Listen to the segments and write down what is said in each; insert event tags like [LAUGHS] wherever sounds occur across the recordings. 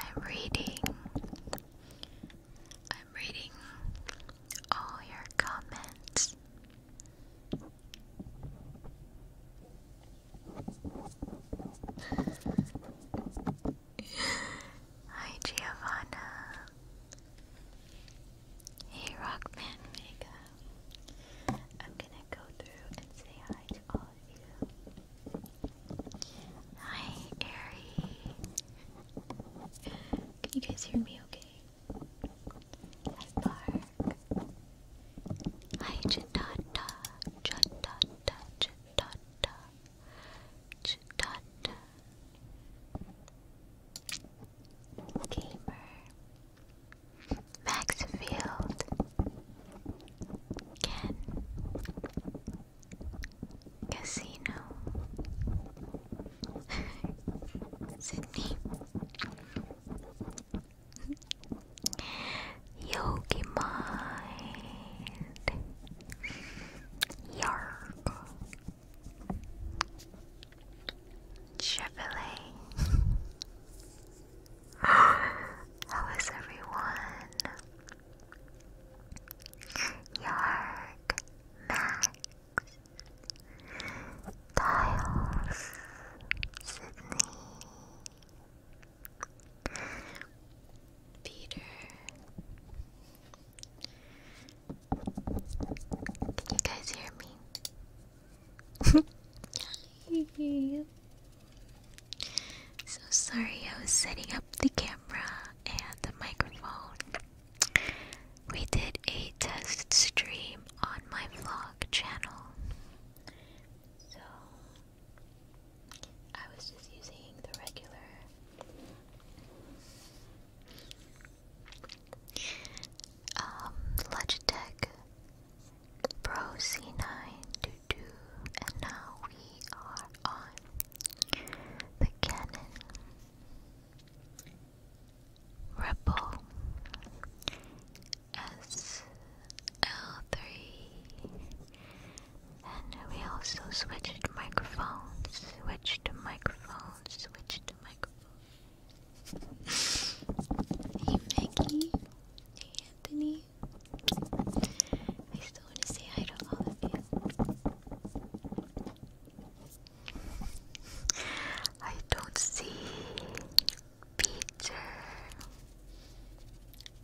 I'm reading. I'm reading all your comments. Hi Giovanna. Hey Rockman Mega. I'm gonna go through and say hi to all Hi, Airy. Can you guys hear me okay? Hi, Park. Hi, Chitata. Chitata. Gamer. Maxfield, Ken, Casino, [LAUGHS] Sydney, Yogi Mind, Yark, Chevrolet. [LAUGHS] How is everyone? Yark, Max, Dials, Sydney, Peter. Can you guys hear me? [LAUGHS] [LAUGHS] [LAUGHS] So sorry, I was setting up the camera and the microphone. We did a test stream on my vlog channel. So I was just using the regular um Logitech Pro C9 to and now we are on the cannon. Rebel SL3, and we also switched microphones, switched microphones, switched microphones. [LAUGHS] hey Maggie, hey Anthony. I still want to say hi to all of you. I don't see Peter,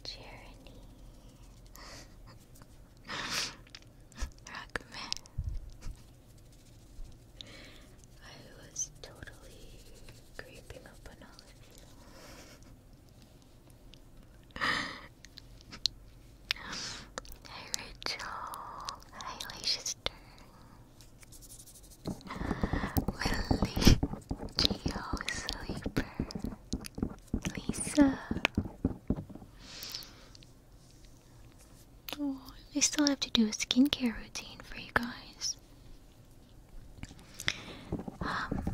Jeremy, Rockman. I was totally creeping up on all of you. Hi, Rachel. Hi, Leicester. Lily, Geo, Sleeper, Lisa. Oh, I still have to do a skincare routine for you guys. Um,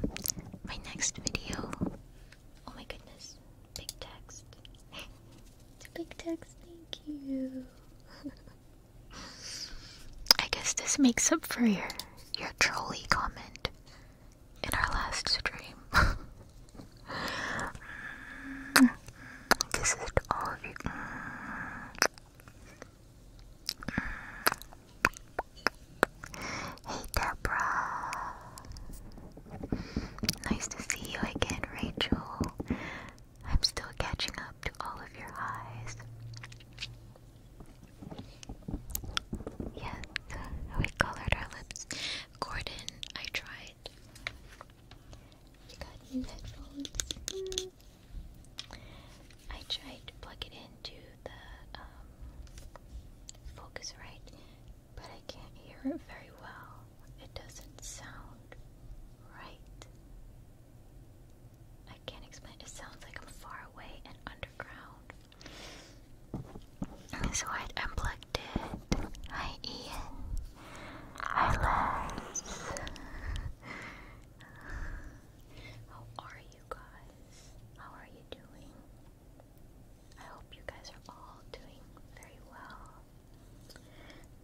my next video. Oh my goodness, big text. [LAUGHS] big text, thank you. [LAUGHS] I guess this makes up for your your trolley comment in our last stream. [LAUGHS] Mm. this is all of you. Hey Deborah. Nice to see you again, Rachel. I'm still catching up to all of your highs. Yes, we colored our lips. Gordon, I tried. You got new headphones. I tried to plug it in into the um, focus right, but I can't hear it very well. It doesn't sound right. I can't explain. It sounds like I'm far away and underground. So I unplugged it. Hi, Ian. Hi, Les. How are you? guys. How are you doing? I hope you guys are all doing very well.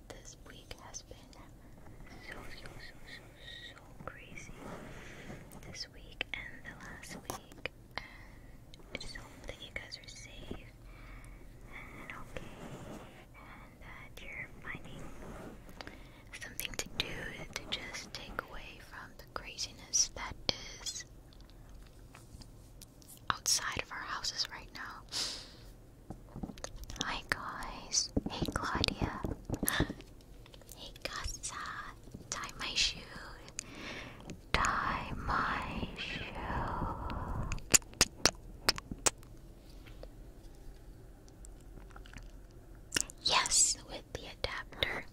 This week has been so, so, so, so, so crazy. This week and the last week. I just hope that you guys are safe and okay and that you're finding something to do to just take away from the craziness that is outside of our houses right now. Hi guys. Hey Claudia. [GASPS] hey Casa. Tie my shoe. Tie my shoe. Yes, the adapter.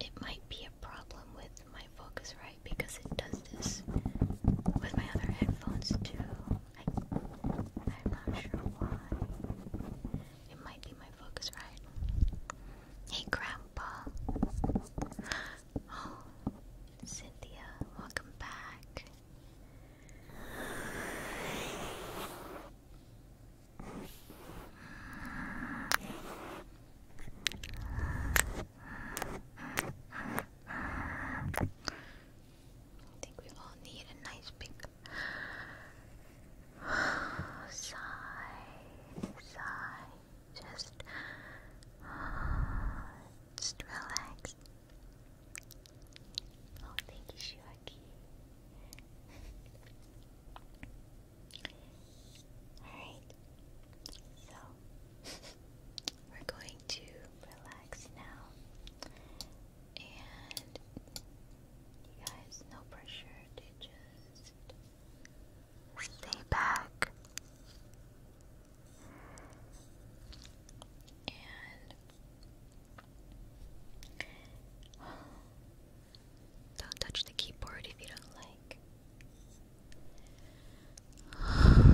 It might be a problem with my Focusrite because it does this with my other headphones too. I, am not sure why. It might be my Focusrite. Hey, Grandpa. [GASPS] Oh, Cynthia, welcome back. I think we all need a nice big sigh, sigh. Just, just relax. Oh, thank you, Shuaki. [LAUGHS] Alright, so [LAUGHS] we're going to relax now. And you guys, no pressure to just stay back. Don't touch the keyboard if you don't like.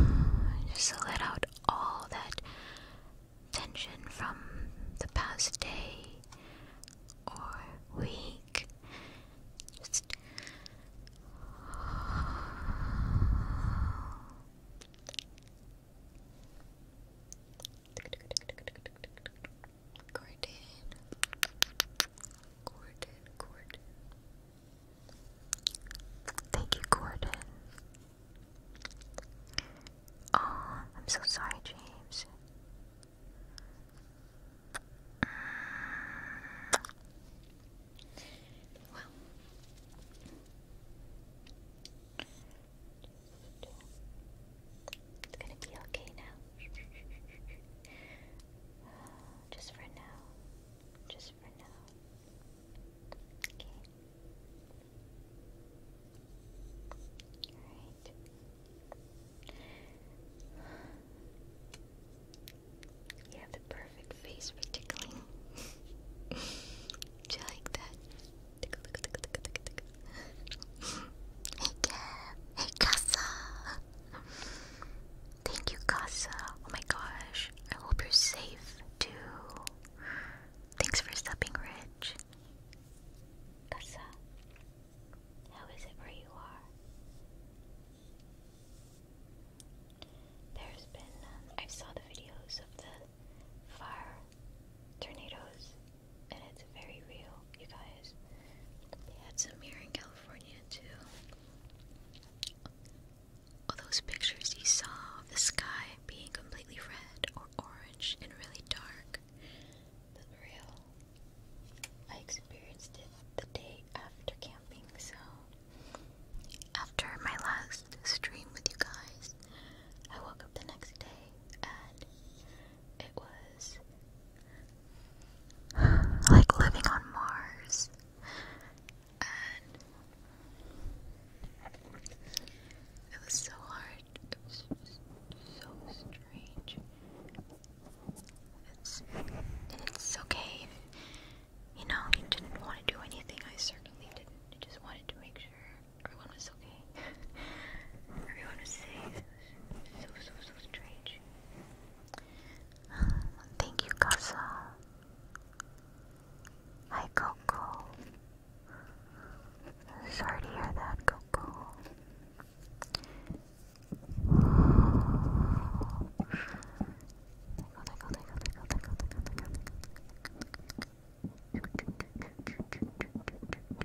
[SIGHS] Just let out all that tension from the past day or week. Gordon, Gordon, Gordon. Thank you, Gordon. Oh, I'm so sorry, James. Well. It's gonna be okay now. [SIGHS] Just for now. Just for now. Okay. Alright. You have the perfect face tickling. [LAUGHS] Do you like that? hey, Kev. Thank you, Casa. Oh my gosh. I hope you're safe, too. Thanks for stopping, Rich. Casa, how is it where you are? There's been, uh, I saw the videos of the fire tornadoes and it's very real, you guys. They had some here in California too. All those pictures you saw of the sky being completely red or orange and really dark, but real. I experienced it the day after camping, so after my last stream with you guys, I woke up the next day and it was like living on Mars. it was so hard. It was so strange. It's, it's okay. You know, you didn't want to do anything. I certainly didn't. I just wanted to make sure everyone was okay. [LAUGHS] everyone was safe. It was so, so, so strange thank you, Casa. Hi, Coco. Sorry to hear that, Coco.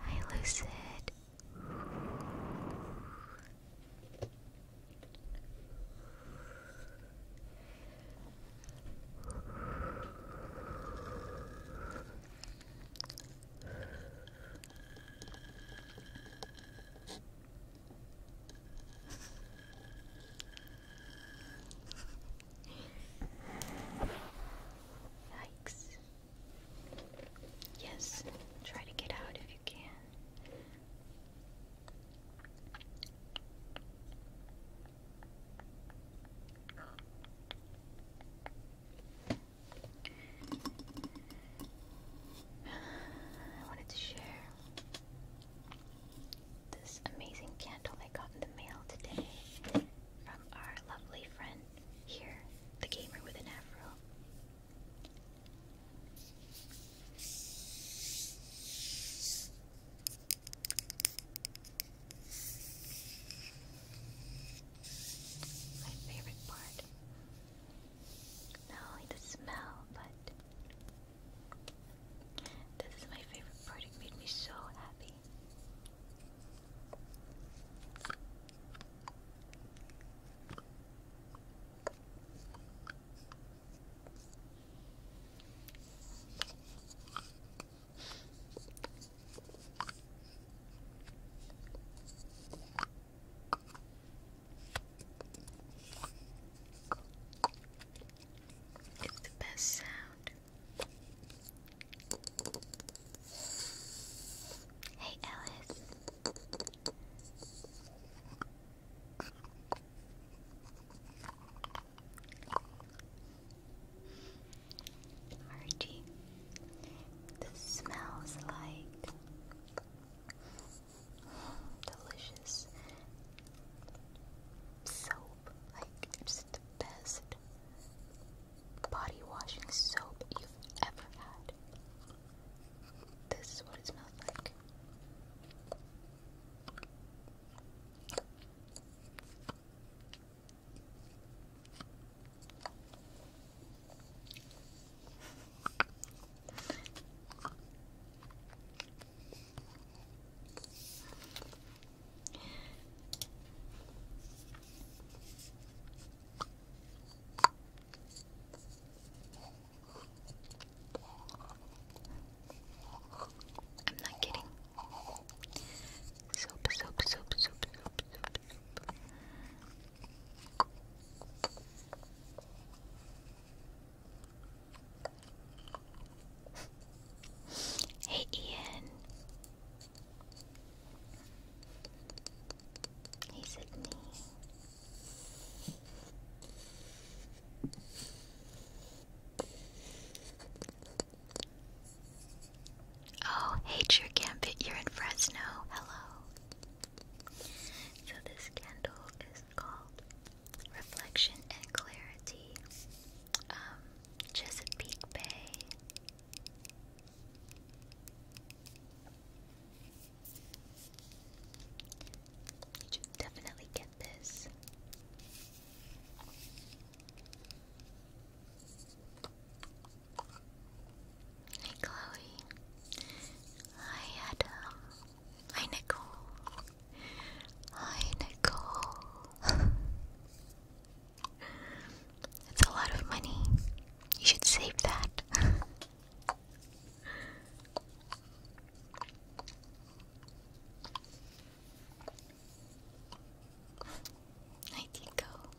Hi, Lucid. Yikes. Yes, try to get out if you can. I wanted to share this amazing candle I got in the mail today from our lovely friend here, the gamer with an afro. My favorite part. Not only the smell, but this is my favorite part. It made me so happy. It's the best sound. Hey, Alice. Archie, this smells like delicious soap. Like, just the best body washing soap you've ever had. This is what it smells like. I'm not kidding. Soap, soap, soap, soap, soap, soap, Hey Ian, Hey, Sydney. Oh, hey, True Gambit, you're in Fresno. Hello. So, this candle is called Reflection and Clarity, um, Chesapeake Bay. You should definitely get this. Hey Chloe. Hi Adam. Hi Nicole. Hi Nicole. [LAUGHS] It's a lot of money. You should save that. [LAUGHS] I go.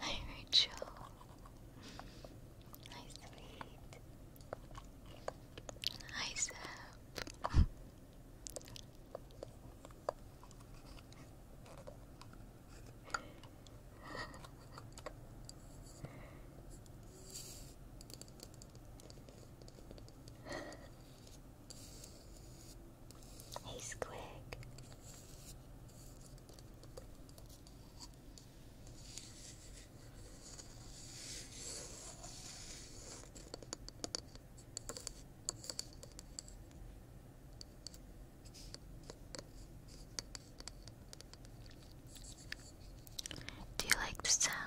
Hi, Rachel. Hi, sweet. Hi, Seb. [LAUGHS] hey, Squig. Do you like the sound?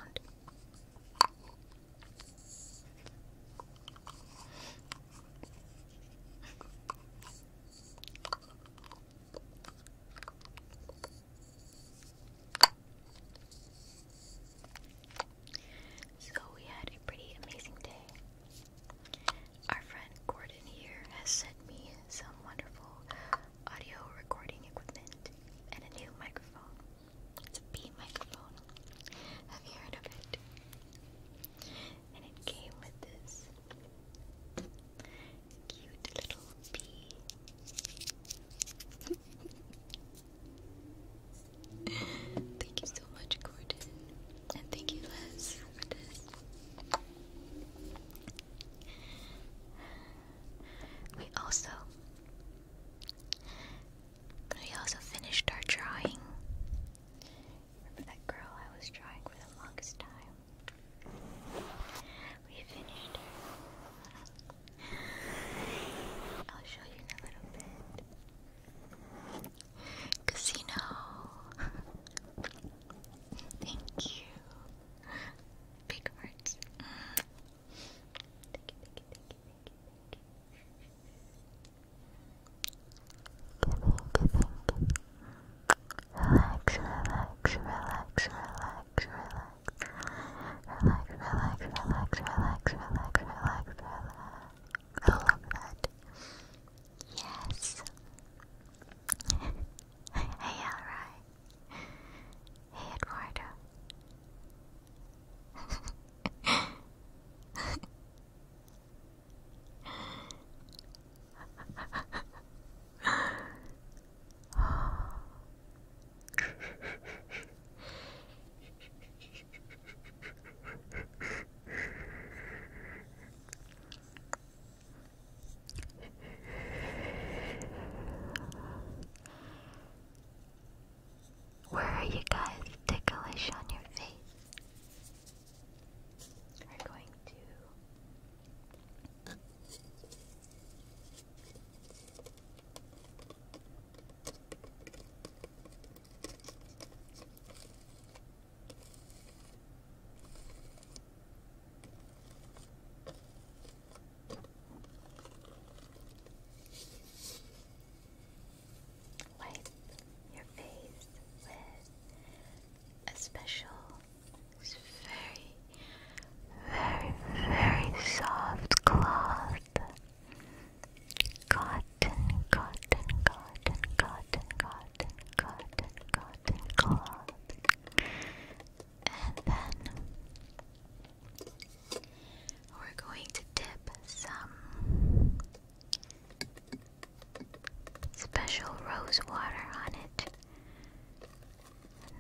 So we had a pretty amazing day. Our friend Gordon here has sent me some wonderful audio recording equipment and a new microphone. It's a B microphone. Have you heard of it? and it came with this cute little bee. [LAUGHS] thank you so much, Gordon, and thank you, Les, for this. We also we also finished our drawing. Remember that girl I was drawing for the longest time? We finished I'll show you in a little bit. Casino. Thank you. Big words. Thank you, thank you, thank you, thank you, Relax, relax, relax, relax, relax. Relax, relax, relax, relax, relax, relax, relax. I love that. Yes. [LAUGHS] hey, alright. Hey, Eduardo. [LAUGHS] Where are you guys ticklish on your face? are going to Wipe your face with a special it's very, very, very soft cloth. Cotton, cotton, cotton, cotton, cotton, cotton, cotton cloth. And then we're going to dip some special rose water on it.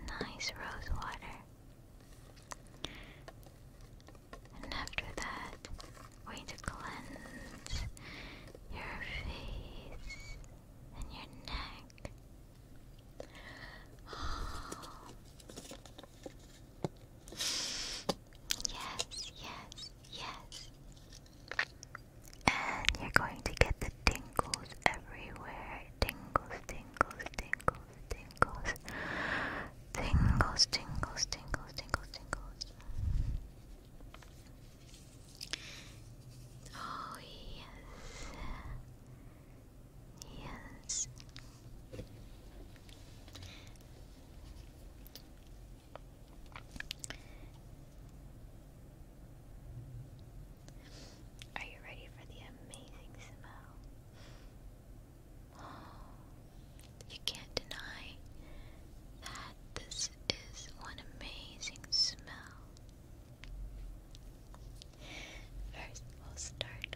Nice rose water. And after that, we're going to cleanse your face and your neck. [GASPS] Yes, yes, yes. And you're going to get the tingles everywhere. Tingles, tingles, tingles, tingles. Tingles, tingles, tingles, tingles, tingles. Oh, yes. Yes. Are you ready for the amazing smell? [GASPS] you can't deny that this is one amazing smell. First, we'll start.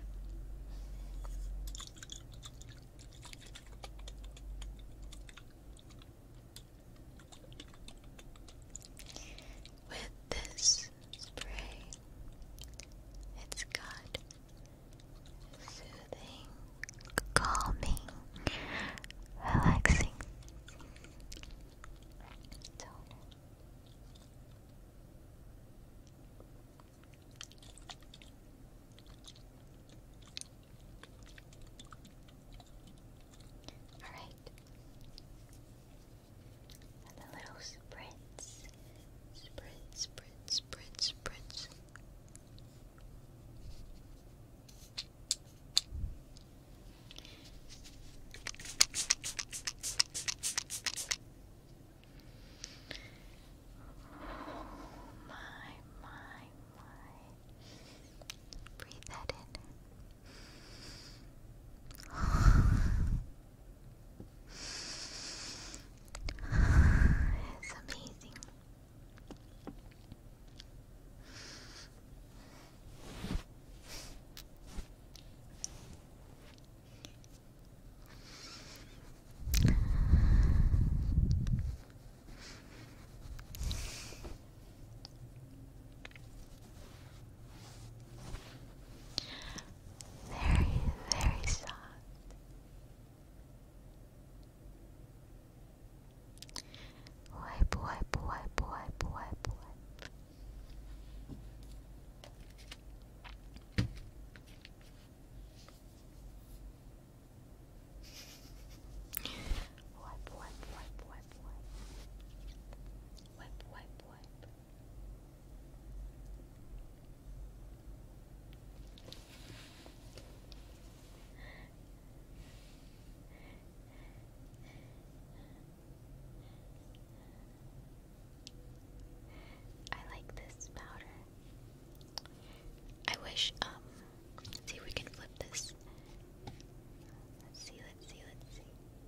With this spray, it's got soothing, calming, relaxing toner. Alright. the little spritz. Spritz, spritz, spritz, spritz. Oh my, my, my. Breathe that in. It's amazing. Very, very soft. Wipe, wipe, wipe, wipe, wipe, wipe. Wipe, wipe, wipe, wipe wipe, wipe. Wipe, I like this powder. I wish, um, let's see if we can flip this. Let's see, let's see, let's see.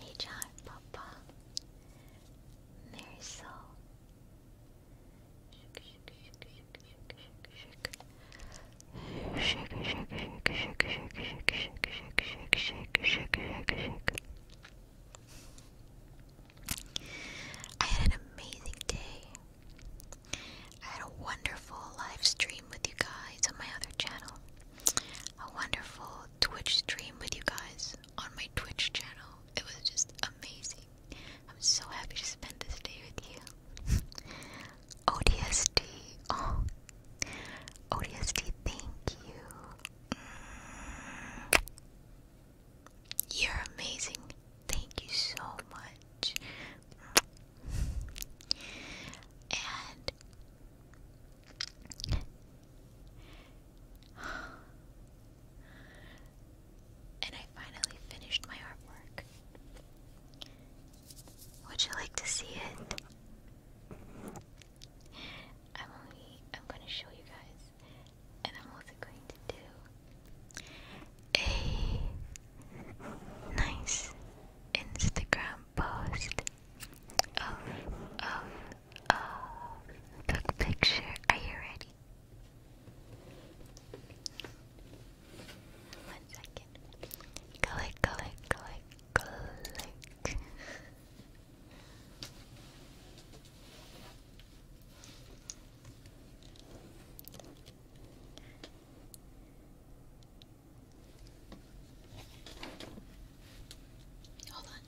HR Papa Marisol Shake, shake, shake, shake, shake, shake, shake, shake, shake, shake, shake, shake, shake, shake. I had an amazing day. I had a wonderful live stream with you guys on my other channel a wonderful Twitch stream with you guys on my Twitch channel. It was just amazing. I'm so happy to spend this day with you. [LAUGHS] ODST, oh, ODST, thank you. Mm. You're amazing. Thank you so much. Mm. And [SIGHS] and I finally finished my artwork. Would you like to see it? I'm only I'm going to show you guys, and I'm also going to do a nice Instagram Post of of of the picture. Are you ready? One second. Click, click, click, click. Hold on.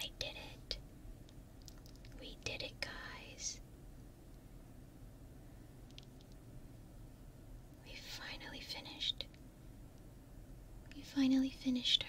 I did it. We did it, guys. We finally finished. We finally finished her.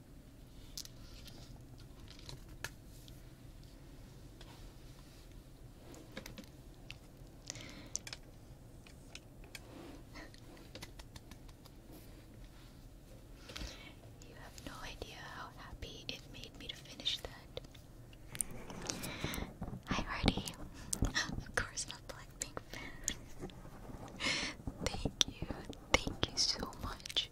you have no idea how happy it made me to finish that. Hi, Hardy. of course, not Blackpink fan. thank you, thank you so much.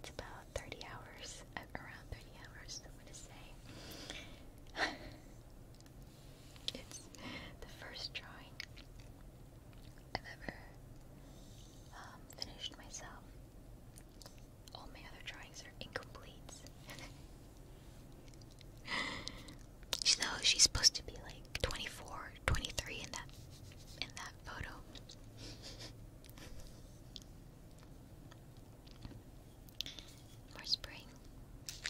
It's about 30 hours, uh, around 30 hours, I'm gonna say. [LAUGHS] it's the first drawing I've ever um, finished myself. All my other drawings are incomplete. [LAUGHS] you she's supposed to be like 24, 23 in that in that that photo. More spring. [LAUGHS]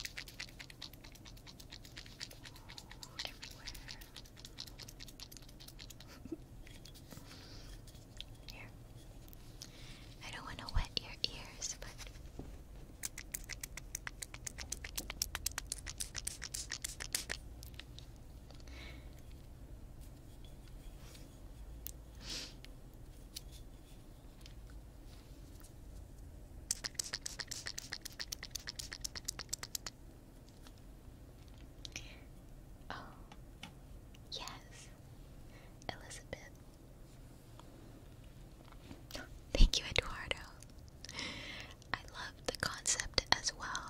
I don't want to wet your ears, but. Oh, yes, Elizabeth. [GASPS] Thank you, Eduardo. I loved the concept as well.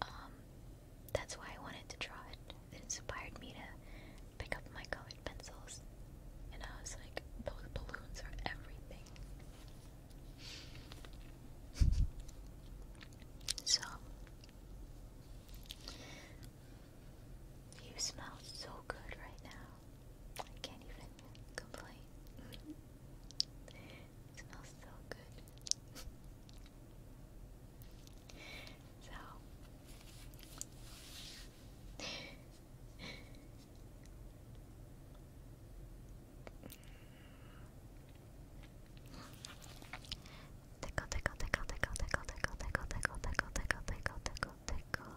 Um, that's why I wanted to draw it. It inspired me to pick up my colored pencils, and I was like, those balloons are everything. [LAUGHS] So, you smell so good right now. I can't even complain. It smells so good. so tickle, tickle, tickle, tickle, tickle, tickle, tickle, tickle, tickle, tickle, tickle, tickle, tickle,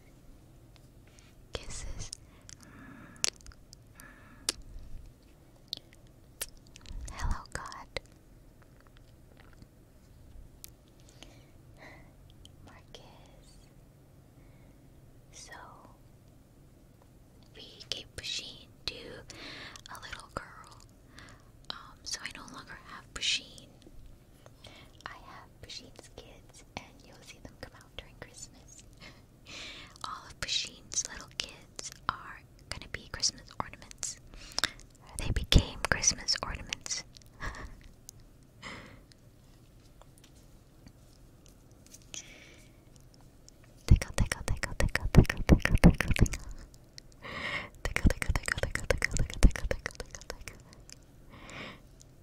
Kisses. Hello, God. Marcus. So we keep pushing to a little girl. Um, so I no longer have Pusheen. I have Pusheen's kids, and you'll see them come during Christmas. All of Bashin's little kids are gonna be Christmas ornaments. They became Christmas ornaments. tickle, tickle, tickle, tickle, tickle, tickle, tickle, tickle. Tickle, tickle, tickle, tickle, tickle, tickle, tickle, tickle, tickle, tickle.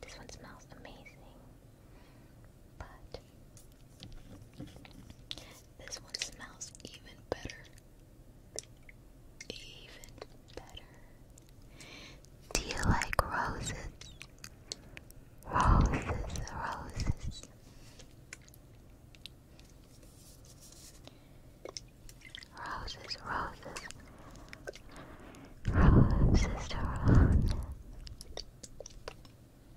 This one smells amazing, but this one smells even better. Even better. Do you like roses? Roses, roses. Roses, roses. Roses, roses. [GASPS]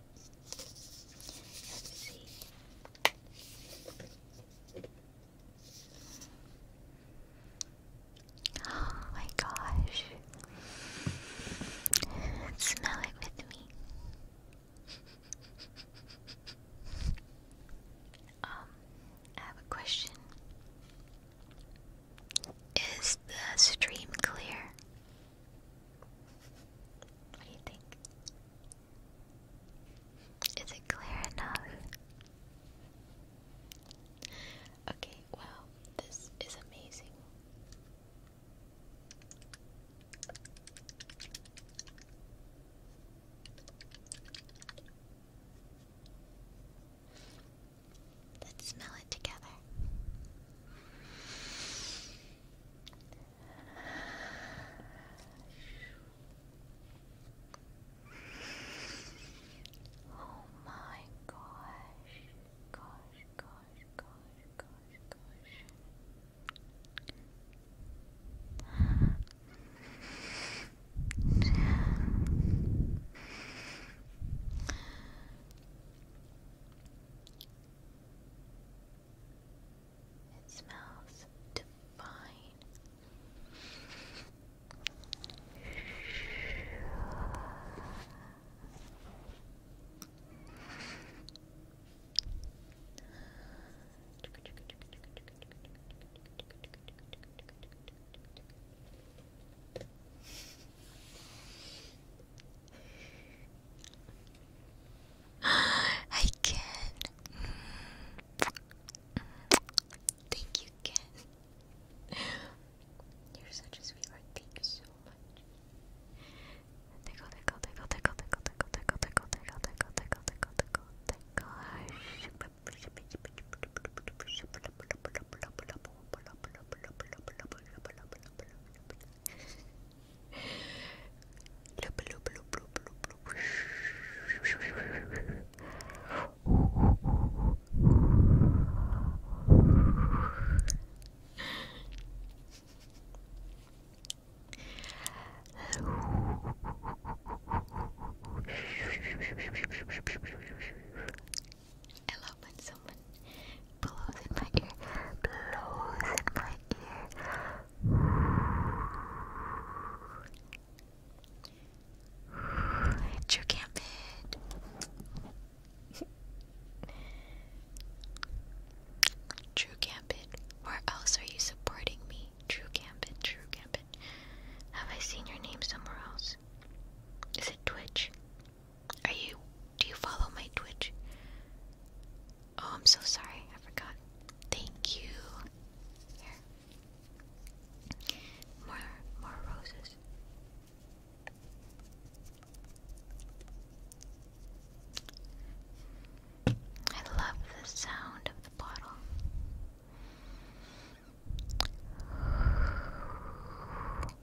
Oh my gosh. Smell it with me. [LAUGHS] Um, I have a question. Is the stream clear? What do you think? Is it clear enough? Okay, wow, this is amazing. Let's smell it together. Oh my gosh, gosh, gosh, gosh, gosh, gosh. It smells divine fine. Hi, Ken. Thank you, Ken. You're such a sweetheart. Thank you so much. Tickle, tickle, tickle, tickle, tickle, tickle, tickle, tickle, tickle, tickle, tickle, tickle, tickle, tickle. Loop, loop, loop, loop, loop, loop. I love when someone blows in my ear, blows in my ear, it's your True Gambit, where else are you supporting me? True Gambit, True Gambit. Have I seen your name somewhere else? Is it Twitch? Are you do you follow my Twitch? Oh, I'm so sorry. I forgot. Thank you. Here. More, more roses. I love the sound of the bottle.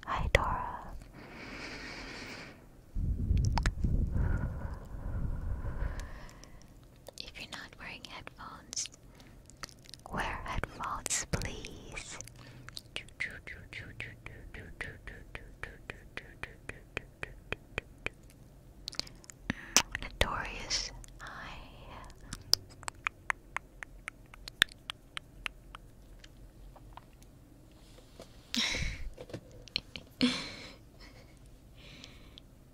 Hi, Dora if you're not wearing headphones, wear headphones, please. Mm, notorious I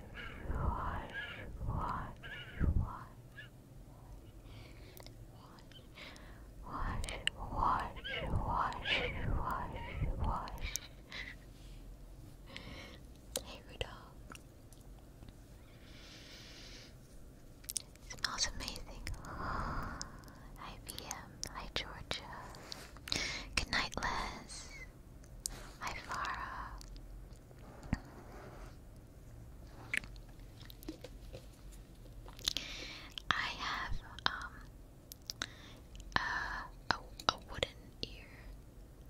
wash, wash, wash. Wash, wash, wash, wash, wash. Hey Rudolph. It smells amazing. Hi BM. Georgia. Good night, Les. Hi, I have um a a wooden ear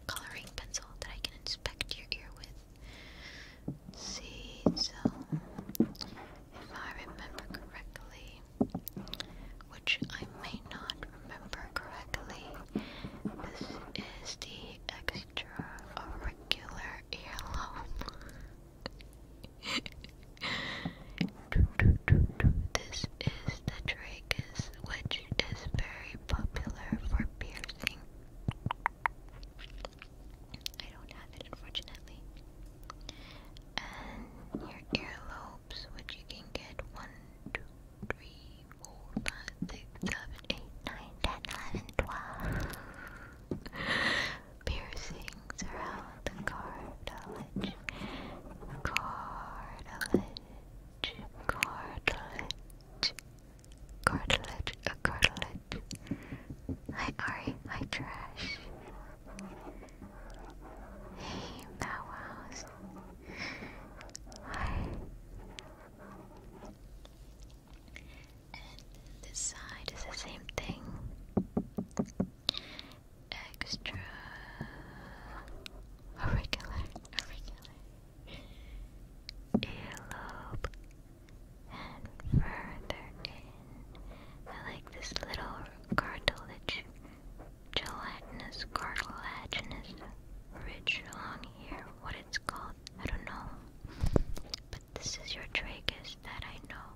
coloring pencil that I can inspect your ear with. See, if I remember correctly, which I may not remember correctly. This is the extra auricular earlobe. this is the tragus, which is very popular for piercing. I don't have it, unfortunately. And your earlobes, which you can get one, two, three, four, five, six, seven, eight, nine, ten, eleven, twelve. Piercings around the cartilage. Cartilage. Cartilage. Cartilage. A cartilage. Hi Ari. Hi Trash. Hey Bow and this side is the same thing. Extra auricular, auricular, earlobe, and further in. I like this little cartilage gelatinous, cartilaginous, ridge along here. What it's called, I don't know. But this is your tragus that I know.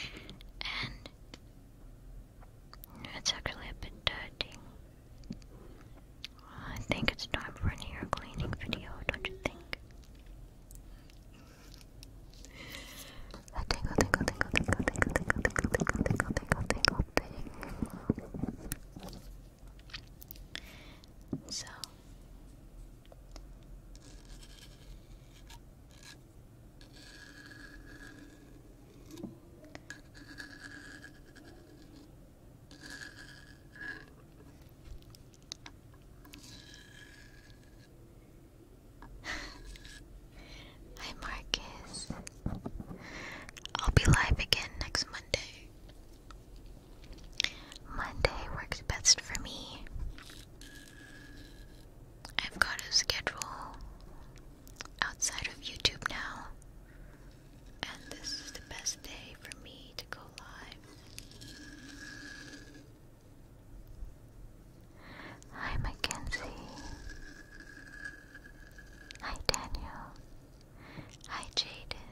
And it's actually a bit dirty. I think it's time for an ear cleaning video, don't you think? I tingle, tingle, tingle, tingle, tingle, tingle, tingle, tingle, tingle, tingle, opening. So Hi, Marcus. I'll be live again next Monday. Monday works best for me. I've got a schedule outside of YouTube now, and this is the best day for me to go live. Hi, Mackenzie. Hi, Daniel. Hi, Jaden.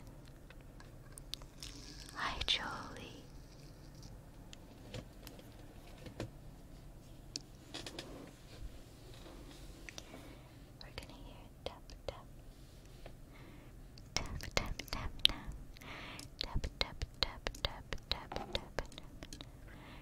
Hi, Jolie. We're gonna hear tap tap. Tap tap tap tap. Tap tap tap tap tap tap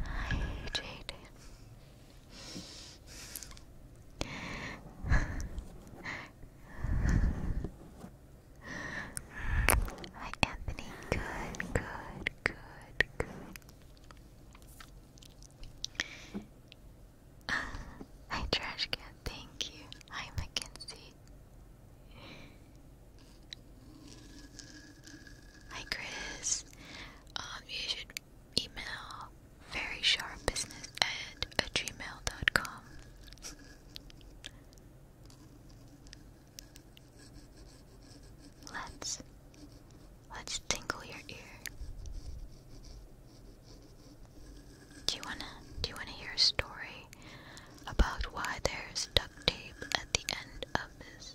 Hi, Jaden. Hi, Anthony. Good, good, good, good. Uh, hi, Trash Thank you. Hi, Mackenzie. Hi, Chris. Um, you should email very sharp business at a gmail.com. Let's let's tingle your ear. Do you wanna do you wanna hear a story about why there's duct tape at the end of this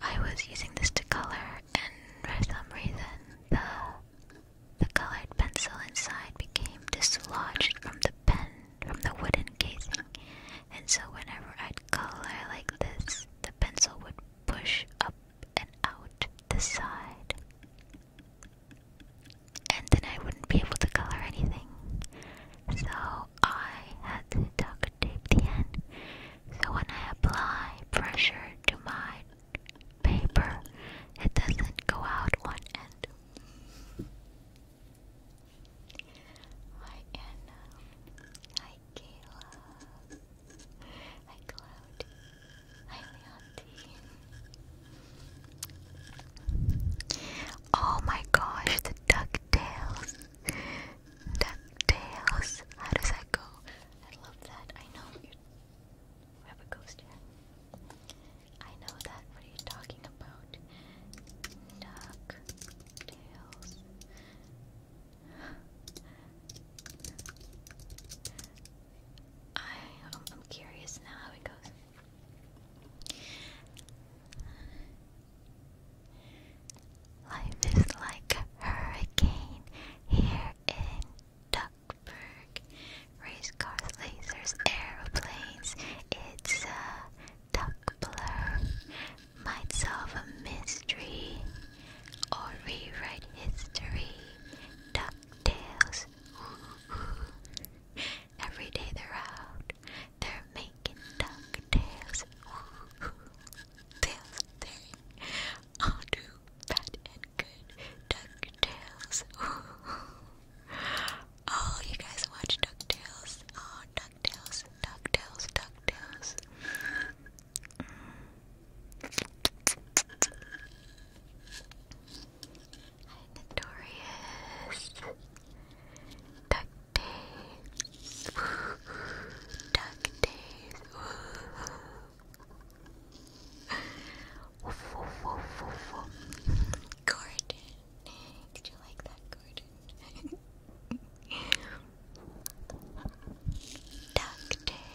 I was using this to color, and for some reason, the the colored pencil inside became dislodged from the pen, from the wooden casing, and so whenever I'd color like this, the pencil would push up and out the side. And then I wouldn't be able to color anything. So I had to talk tape the end. So when I apply pressure to my paper, it doesn't go out one end. Hi Anna. Hi uh, Kayla. Hi Cloudy. Hi Leonti. Oh my gosh, the DuckTales. DuckTales. How does that go? I love that. I know you have a ghost here. I know that. What are you talking about? Duck tails. I am curious now how it goes. Life is like a hurricane here in Duckburg. Race cars, lasers, aeroplanes. It's a duck blur. Might solve a mystery or rewrite history. Duck Every day they're out. They're making duck tales. Tales, tales. I'll do fat and good DuckTales. [LAUGHS] oh, you guys watch DuckTales? Oh, DuckTales, DuckTales, DuckTales. Hi, Notorious. DuckTales. Duck days. Woof, woof, woof, woof, Gordon. Did you like that, Gordon? DuckTales.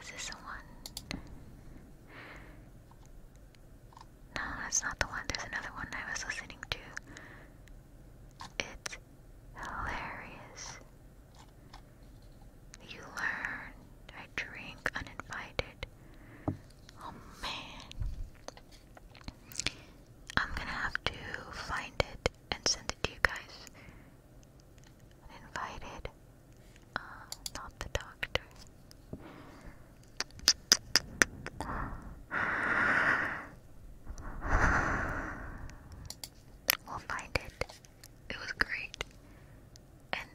Is this the one? No, that's not the one. There's another one I was listening to. It's hilarious. You learn. I drink uninvited. Oh man. I'm gonna have to find it and send it to you guys invited. Um, not the doctor. We'll find it. It was great. And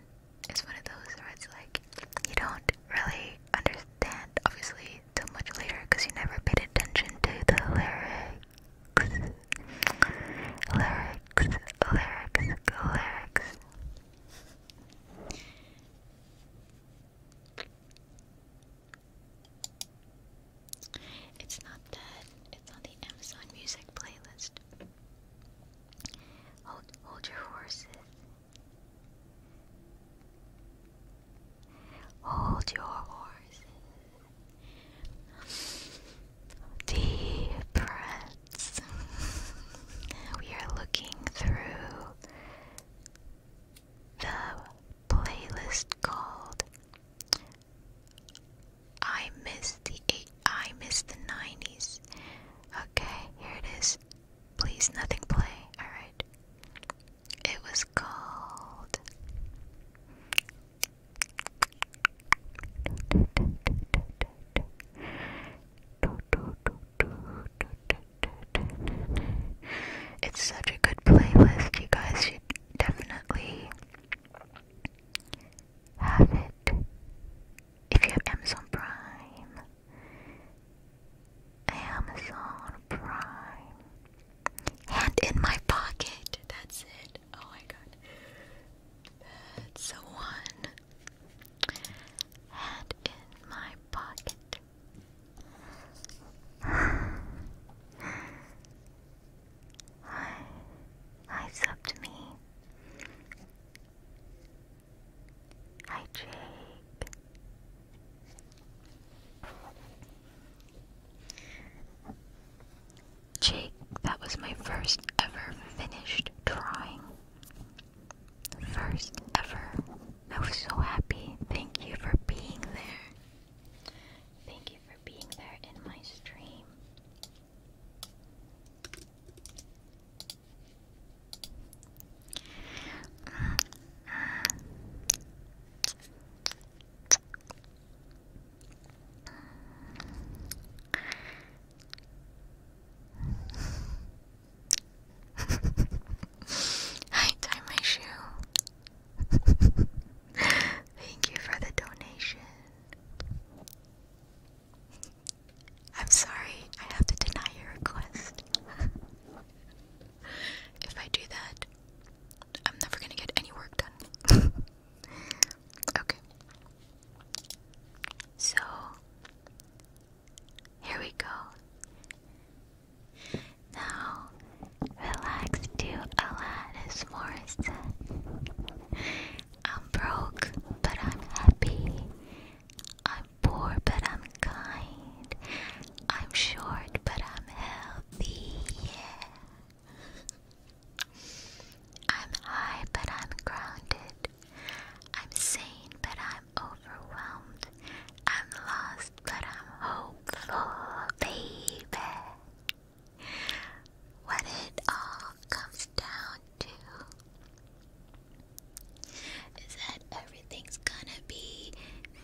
it's one of those where it's like, you don't really understand, obviously, till much later because you never paid attention to the lyrics lyrics, lyrics, lyrics. It's not dead. It's on the Amazon Music playlist. Hold, hold your horses. Hold your horses. Deep breaths. we are looking through the playlist called I Miss the I Miss the Nineties. Okay, here it is. Please nothing play, alright. It was called it's such a good playlist. You guys should definitely have it if you have Amazon Prime. Amazon Prime. Hand in my pocket. That's it god. Oh my god. That's the one. Head in my pocket. I, I subbed me. Hi, Jake. Jake, that was my first ever finished drawing. First ever. I was so happy. Thank you for being there. Thank you for being there in my stream. [LAUGHS] I tie my shoe. [LAUGHS] Thank you for the donation. I'm sorry, I have to deny your request. [LAUGHS] if I do that, I'm never gonna get any work done. Okay. So, here we go. Now, relax to Alanis Morissette. I'm broke, but I'm happy. I'm poor, but I'm kind. I'm short, but I'm healthy. I'm high, but I'm grounded. I'm sane, but I'm overwhelmed. I'm lost, but I'm hopeful, baby. What it all comes down to is that everything's gonna be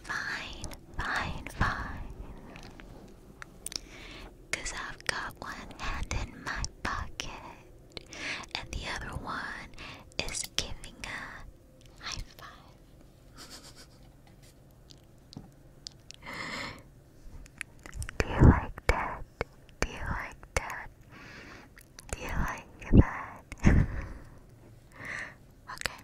fine, fine, fine. i I've got one hand in my pocket and the other one is giving a high five. [LAUGHS] Do you like that? Do you like that? Do you like that? [LAUGHS] okay.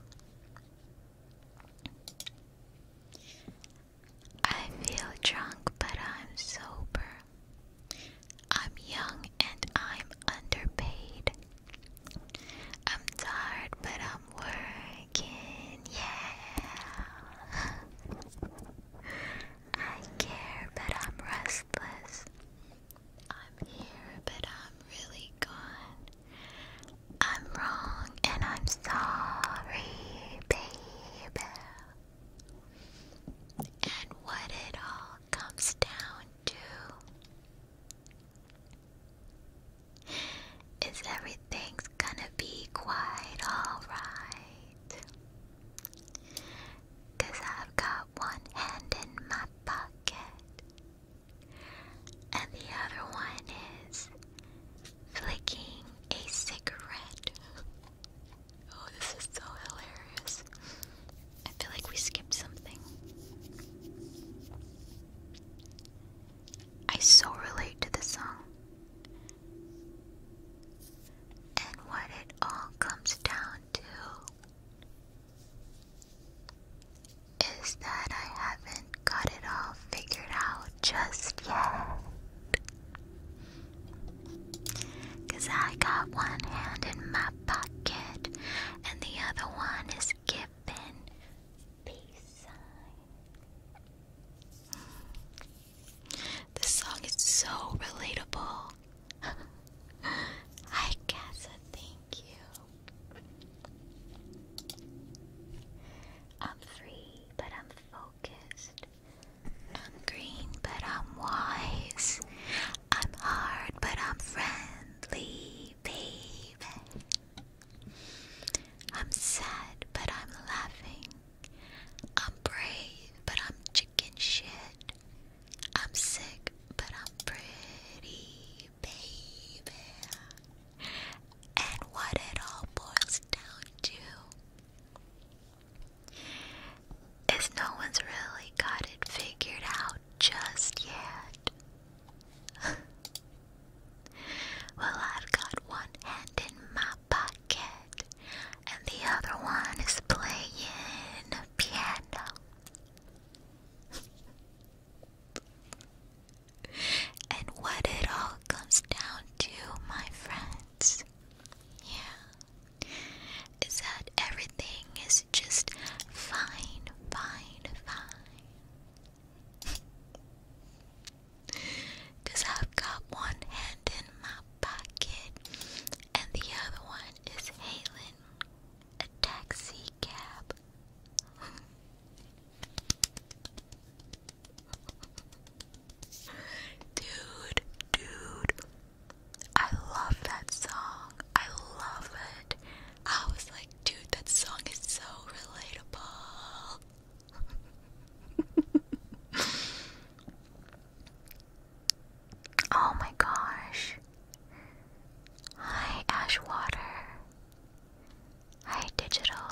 I feel drunk, but I'm sober. I'm young and I'm underpaid. I'm tired, but I'm working. Yeah. I care, but I'm restless. I'm here, but I'm really gone. I'm wrong and I'm sorry, baby. And what it all comes down to is everything's gonna be quite alright. i I've got one hand in my pocket, and the other one is flicking a cigarette. Oh, this is so hilarious. I feel like we skipped something. I so relate to this song. And what it all comes down to is that I haven't got it all figured out just yet. Cause I got one hand in my pocket and the other one is giving peace sign. This song is so relatable. Hi, [LAUGHS] Casa, thank you. I'm free, but I'm focused. I'm green, but I'm wise. I'm hard, but I'm friendly, baby. I'm sad, but I'm laughing. I'm brave, but I'm chicken shit. I'm sick, but I'm pretty, baby. And what it all boils down to is no one's really got it figured out just yet? [LAUGHS] well, I've got one hand in my pocket, and the other one is playing piano. [LAUGHS] and what it all comes down to, my friends. Yeah is that everything is just fine, fine, fine. [LAUGHS] I've got one hand in my pocket and the other one is hailing a taxi cab. [LAUGHS] Dude, dude. I love that song. I love it. I was like, dude, that song is so relatable. oh my gosh. Hi, Ashwater. Hi, Digital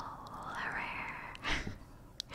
Rare. [LAUGHS]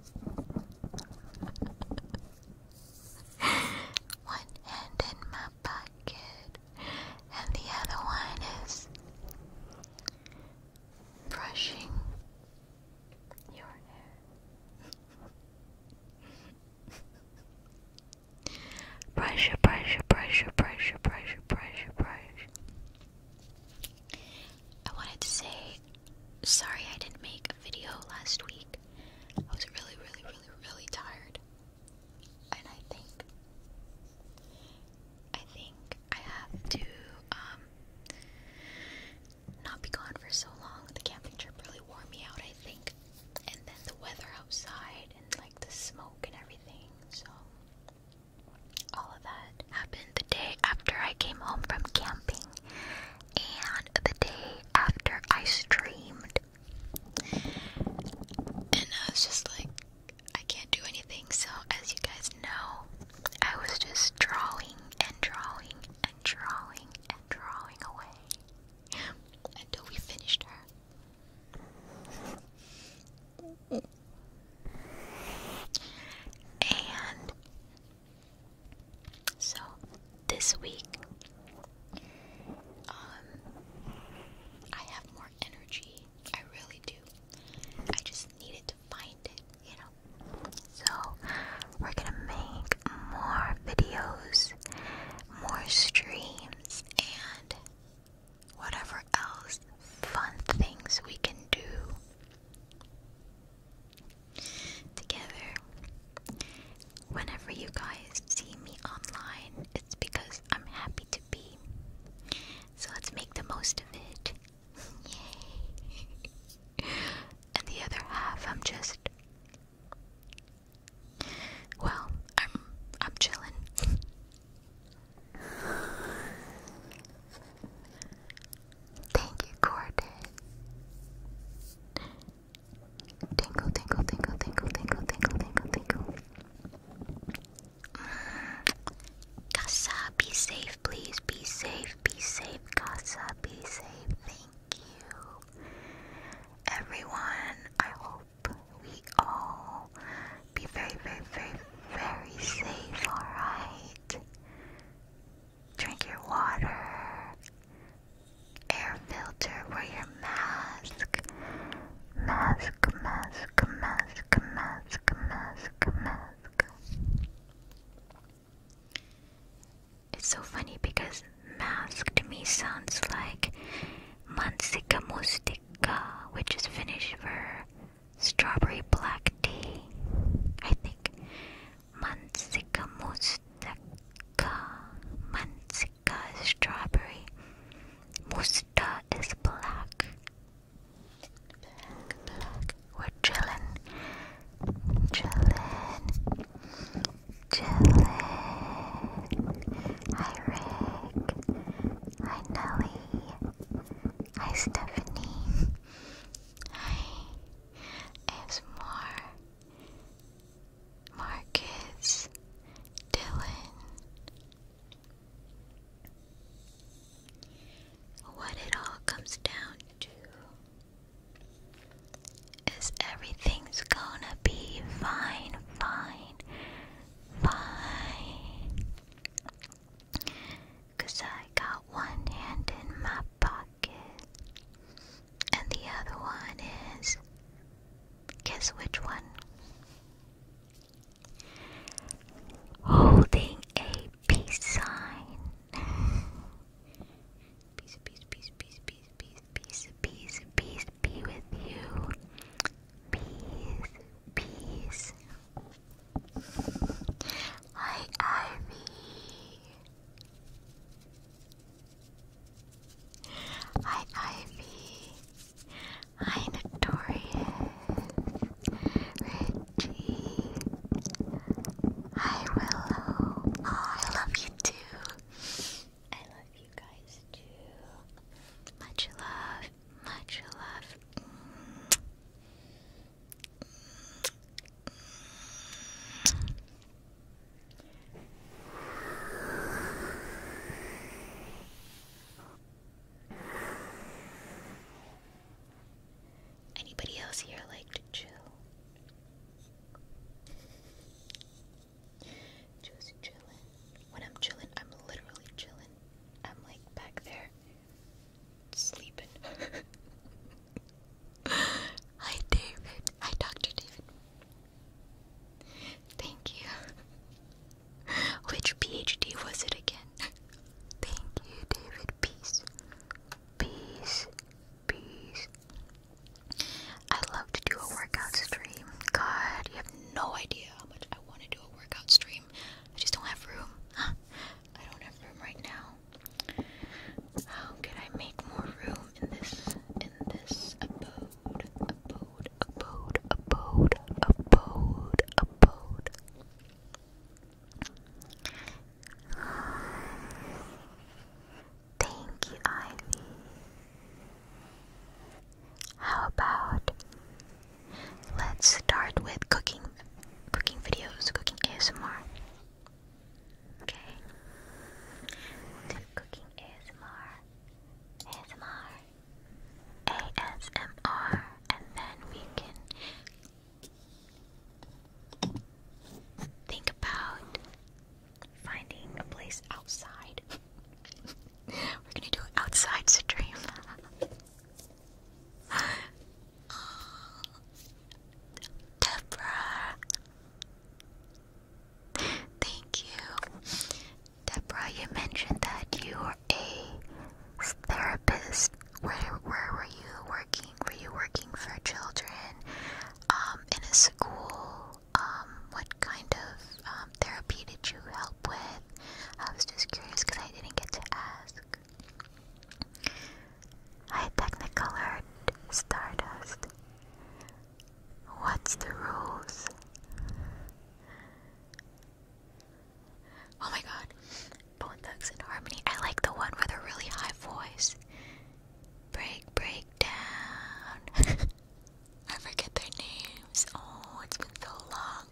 [LAUGHS] one hand in my pocket, and the other one is brushing your hair. [LAUGHS] brush, brush, brush, brush, brush, brush, brush. I wanted to say sorry I didn't make a video last week. I was really, really, really, really tired. And I think I think I have to um not be gone for so long. The camping trip really wore me out, I think. And then the weather outside and like the smoke and everything. So all of that happened the day after I came home from camping and the day after I streamed. And I was just like, I can't do anything. So, as you guys know, I was just drawing and drawing and drawing and drawing away until we finished her. And so this week, um, I have more energy. I really do. I just needed to find it, you know. So we're gonna make more videos, more streams, and whatever else fun things we can do together. Whenever you guys see me online, it's because I'm happy to be. So let's make the most of it. [LAUGHS] Yay! and the other half, I'm just. Well, I'm I'm chilling. Thank you, Gordon. Tingle, tingle, tingle, tingle, tingle, tingle, tingle, tingle. Casa, be safe, please. Be safe, be safe, Casa, be safe. Thank you. Everyone, I hope we all be very, very, very, very safe, alright? Drink your water. Air filter. Wear your mask. Mask, mask, mask, mask, mask, mask. It's so funny because mask to me sounds like mansika mustika, which is Finnish for strawberry black tea. I think Mansica mustaka. Mansica is strawberry. Musta is black. We're chilling. Chillin'. Chillin'. Hi, Rick. Hi, Nelly. Hi, Stephanie is more Marcus Dylan. What it all comes down to is everything's gonna be fine, fine, fine. I got one hand in my pocket. And the other one is guess which one? Holding a peace sign. peace, peace, peace, peace, peace, peace, peace, peace, peace be with you. Peace, peace. Hi, Ivy. Hi, Ivy. Hi, Notorious. Reggie. Hi, Willow. Oh, I love you too. I love you guys too. Much love. Much love. Anybody else here like to chill? Just chillin'. When I'm chillin', I'm literally chillin'. I'm like back there sleeping. [LAUGHS] Hi, David. Hi, Dr. David. Thank you. Which PhD was it again? Thank you, David. Peace. Peace. Peace. I love to do a workout stream. God, you have no idea how much I want to do a workout stream. I just don't have room. I don't have room right now. How can I make more room in this in this abode? Abode, abode, abode, abode, abode. Thank you, Ivy. How about let's start with cooking cooking videos, cooking ASMR. Okay. Just cooking ASMR. ASMR. ASMR. And then we can think about finding a place outside. [LAUGHS] We're gonna do an outside stream. [LAUGHS] Debra, thank you. Deborah, you mentioned that you were a therapist. Where, where were you working? Were you working for children um, in a school? Um, what kind of um, therapy did you help with? I was just curious because I didn't get to ask. I technicolored Stardust. What's the rules? Oh my god. Bone Thugs and Harmony. I like the one with a really high voice. Break, break down. [LAUGHS] I forget their names. Oh, it's been so long.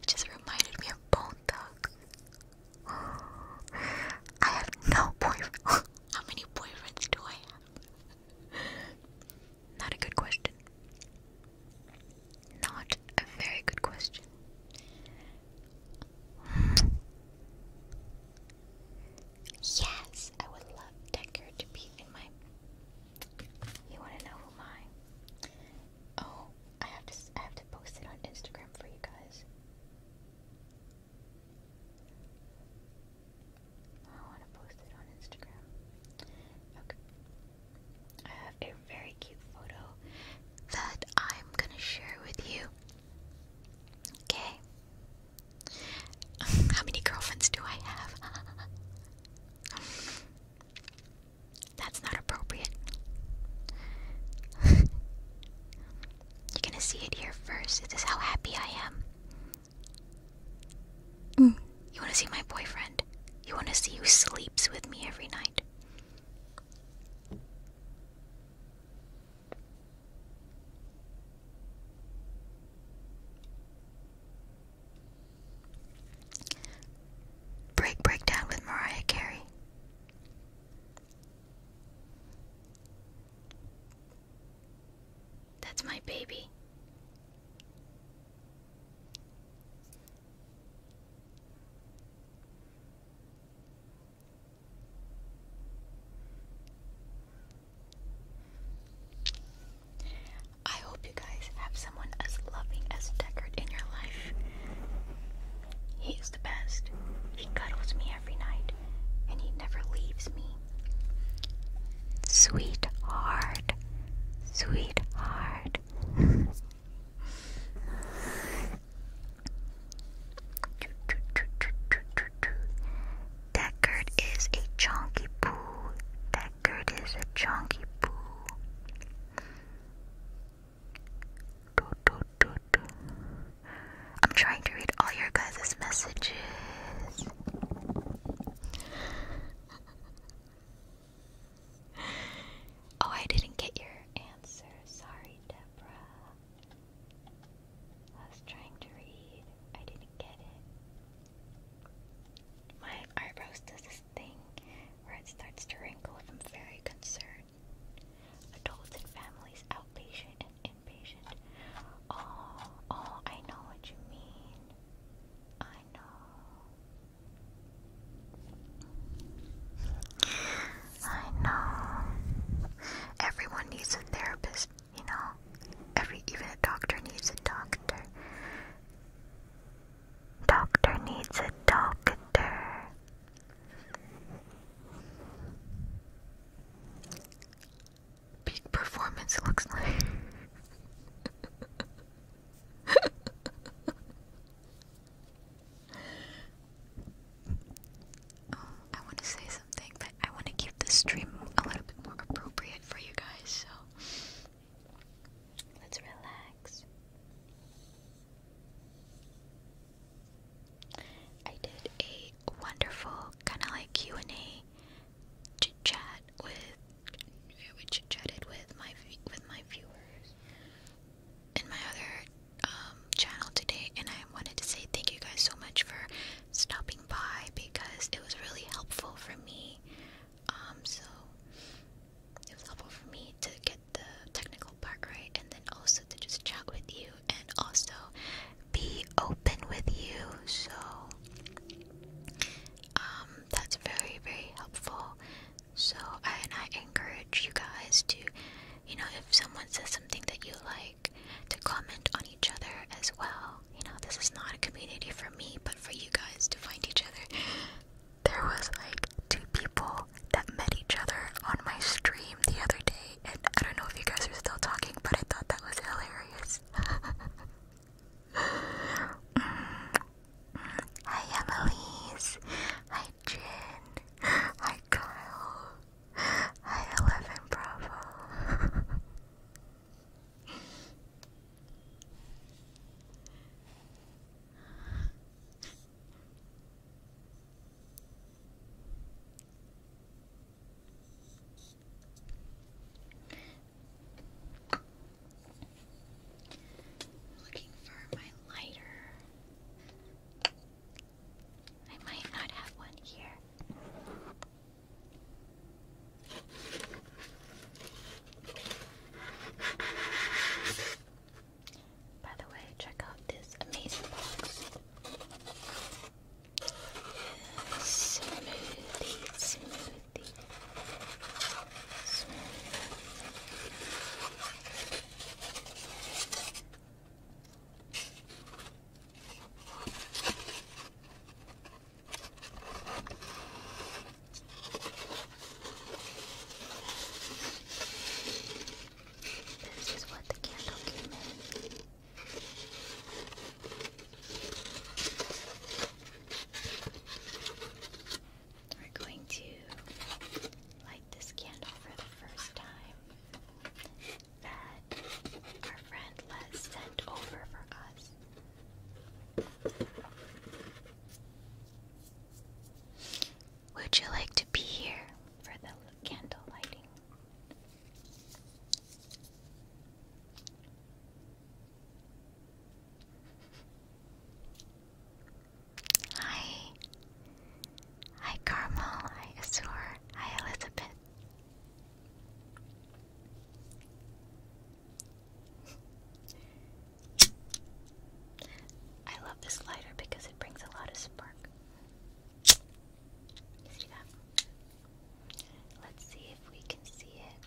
It just reminded me of Bone Thugs. I have no boyfriend. [LAUGHS] How many boyfriends do I have? Not a good question. Not a very good question. Yes, I would love Decker to be in my. You want to know who my? Oh, I have to. I have to post it on Instagram for you guys. I want to post it on Instagram. Okay. I have a very cute photo that I'm gonna share with you. Okay. [LAUGHS] How many girlfriends do I have? [LAUGHS] That's not appropriate. [LAUGHS] You're gonna see it here first. This is how happy I am. Mm. You wanna see my boyfriend? You wanna see who sleeps with me every night? Break breakdown with Mariah Carey. That's my baby. I hope you guys have someone as loving as Deckard in your life. He the best. He cuddles me every night, and he never leaves me. Sweetheart, sweetheart. that gird is a chunky poo. That gird is a chunky poo. Do, do, do, do. I'm trying to read all your guys' messages. oh, I didn't get your answer. Sorry, Deborah. I was trying to read, I didn't get it. My eyebrows does this thing where it starts to wrinkle if I'm very concerned adults and families, outpatient and inpatient. Oh, oh, I know what you mean. I know. I know. Everyone needs a therapist, you know. Every even a doctor needs a doctor. Doctor needs a doctor peak performance looks like. [LAUGHS] oh, I want to say something, but I want to keep this stream a little bit more appropriate for you guys, so let's relax. I did a wonderful kind of like Q and A chat with, we chatted with my with my viewers in my other um, channel today, and I wanted to say thank you guys so much for stopping by because it was really helpful for me. Um, so it was helpful for me to get the technical part right, and then also to just chat with you, and also be open with you. So um, that's very, very helpful. So and I encourage you guys to, you know, if someone says something that you like, to comment on each other as well. You know, this is not a community for me, but for you guys to find each other. There was like two people that met each other on my stream the other day. I don't know if you guys are still talking, but I thought that was hilarious. [LAUGHS] Mm. Hi, Annalise. Hi, Jin. Hi, Kyle. Hi, Eleven Bravo. Looking for my lighter. I might not have one here. By the way, check out this amazing box. Smoothie, smoothie, This is what the candle came in. We're going to light this candle for the first time that our friend Les sent over for us. Would you like to be here for the candle lighting? Hi. Hi, Carmel. Hi, Azur. Hi, Elizabeth. I love this lighter because it brings a lot of spark. See that? Let's see if we can see it.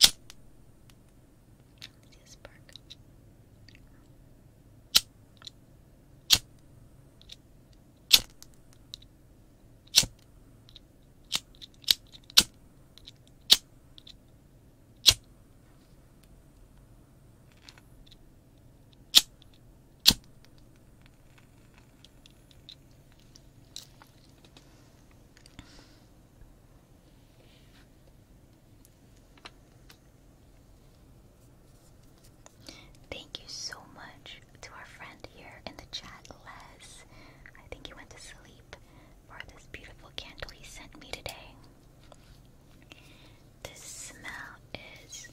see a spark. Thank you so much to our friend here in the chat, Les. I think he went to sleep for this beautiful candle he sent me today. This smell is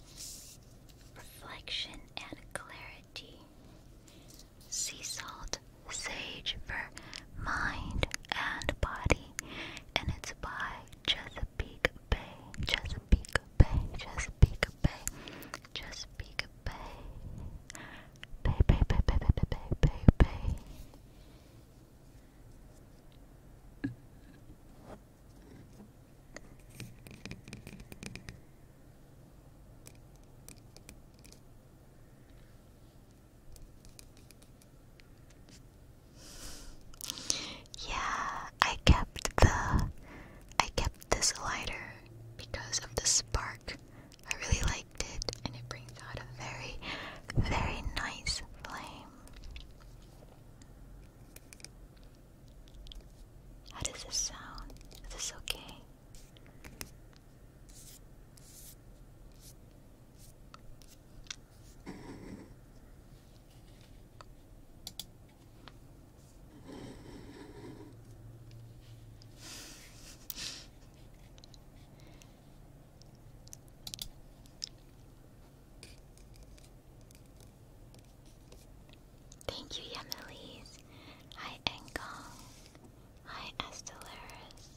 reflection and clarity. Sea salt, sage for mind and body, and it's by Chesapeake Bay, Chesapeake Bay, Chesapeake Bay, Chesapeake Bay. Pay, pay, pay, pay, pay, Yeah, I kept the I kept this lighter because of the spark I really liked it, and it brings out a very, very nice flame. How does this sound? Is this okay? Thank you, Yamilis. Hi, Engong. Hi, Estelaris.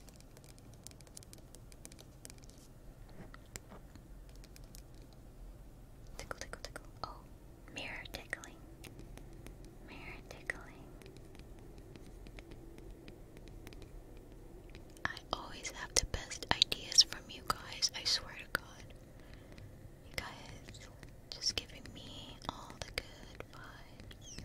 Tickle, tickle, tickle. Oh, mirror tickling. Mirror tickling. I always have the best ideas from you guys, I swear to God. You guys just giving me all the good vibes.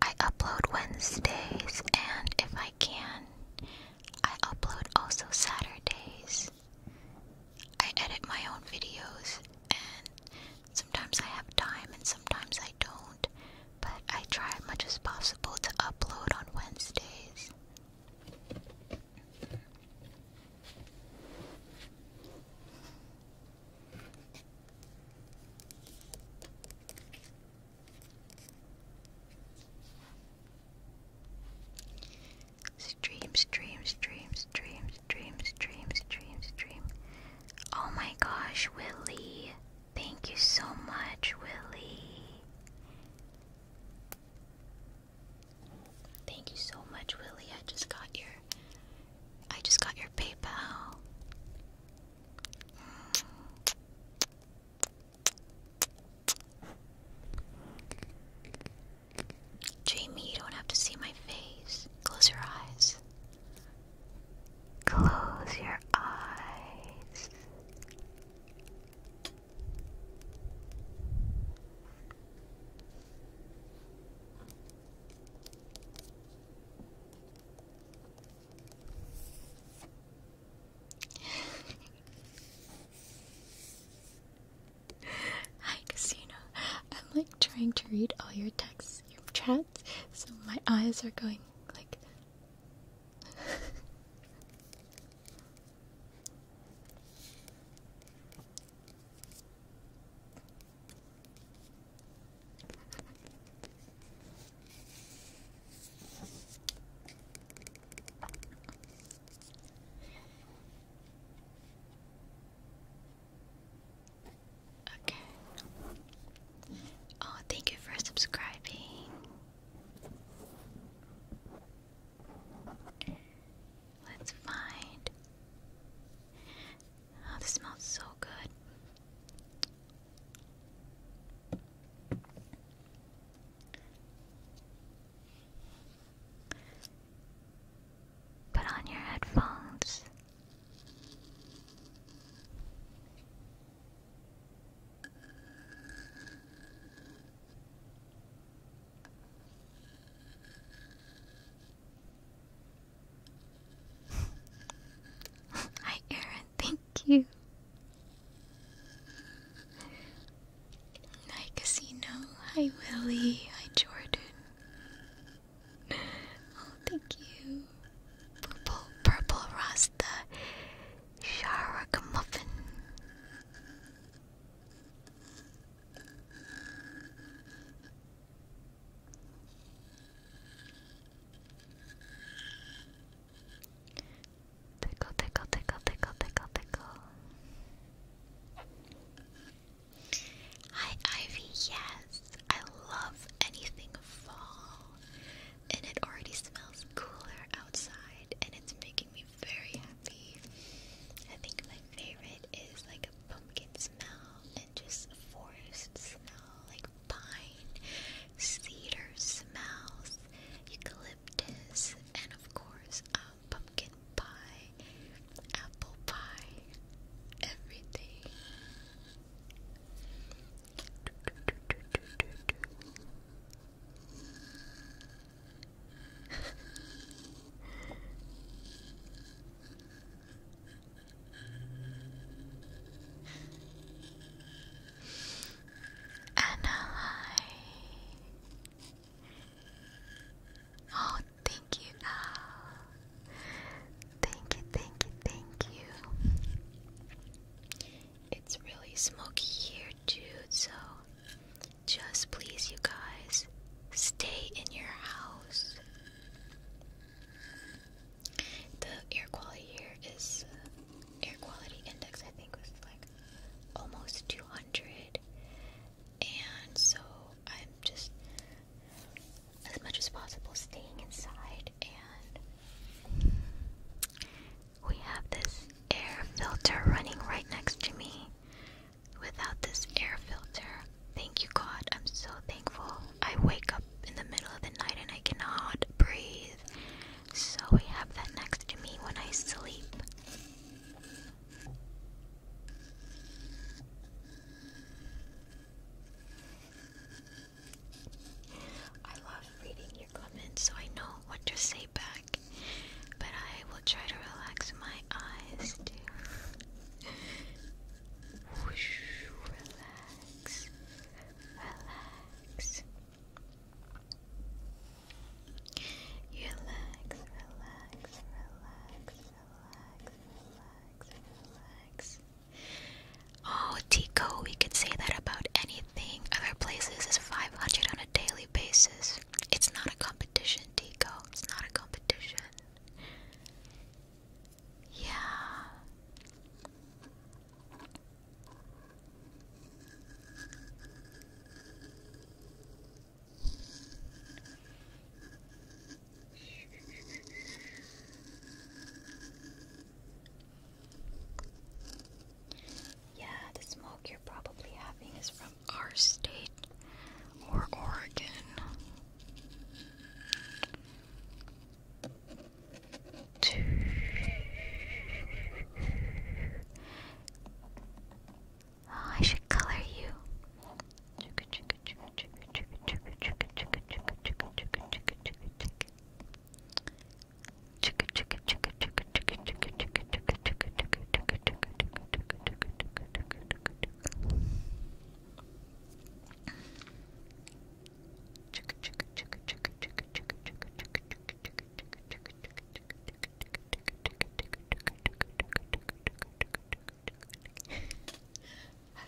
I upload Wednesdays, and if I can, I upload also Saturdays. I edit my own videos, and sometimes I have time and sometimes I don't, but I try as much as possible to upload on Wednesdays. Stream, stream, stream, stream, stream, stream, stream, stream. Oh my gosh, Willie. Thank you so much, Willie. Thank you so much, Willie. I just got your I just got your PayPal. Jamie, you don't have to see my face. Close your eyes. Close your eyes. [LAUGHS] Hi, Casino. I'm like trying to read all your texts, your chats, so my eyes are going like. [LAUGHS] Okay. Oh, thank you for subscribing. Let's find. Oh, this smells so good. Put on your headphones. Hi, [LAUGHS] Aaron. Thank you. Hi Casino, hi Willie, hi Jordan. Oh, thank you. Purple, purple Rasta, Shark Muffin. Tickle, tickle, tickle, tickle, tickle, tickle. Hi, Ivy. Yes, I love anything fall, and it already smells cooler outside, and it's making me very happy. I think my favorite is like a pumpkin smell and just forest smell, like pine, cedar smells, eucalyptus, and of course, pumpkin pie, apple pie, everything and Oh, thank you. Oh, thank you, thank you, thank you. It's really smoky here, too, so just please, you guys, stay in your house. The air quality here is uh, air quality index. I think was like almost 200, and so I'm just as much as possible staying inside. And we have this air filter running right next to me. Without this air filter, thank you God. I'm so thankful. I wake up in the middle of the night and I cannot breathe so I have that next to me when I sleep. I love reading your comments so I know what to say back, but I will try to relax my eyes too. [LAUGHS] relax, relax. Relax, relax, relax, relax, relax, relax. Oh, Tico, we could say that about anything. Other places is 500 on a daily basis. It's not a competition, Tico. It's not a competition. Yeah. Yeah, the smoke you're probably having is from our state or Oregon. Oh, I should color you. How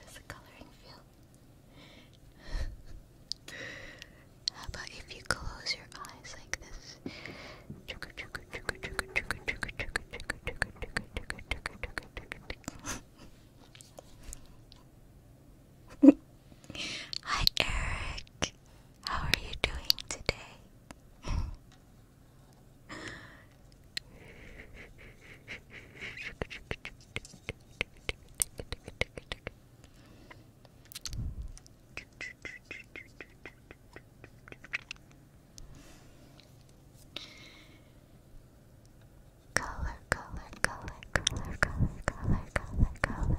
does the coloring feel? How about if you close your eyes like this? [LAUGHS] [LAUGHS] Hi, Eric. How are you doing today? [LAUGHS] Color, color, color, color, color, color, color, color.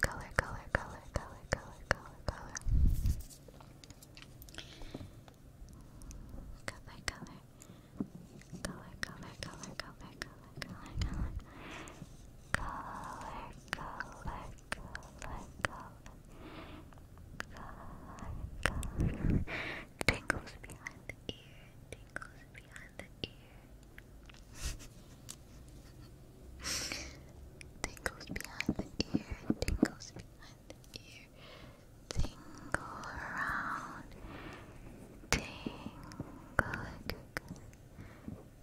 Color, color, color, color, color, color, color, color. Color, color. Color, color, color, color, color, color, color color, color, behind the ear, tingles behind the ear. tingles behind the ear, tingles behind the ear. Tingle around, tingle, tingle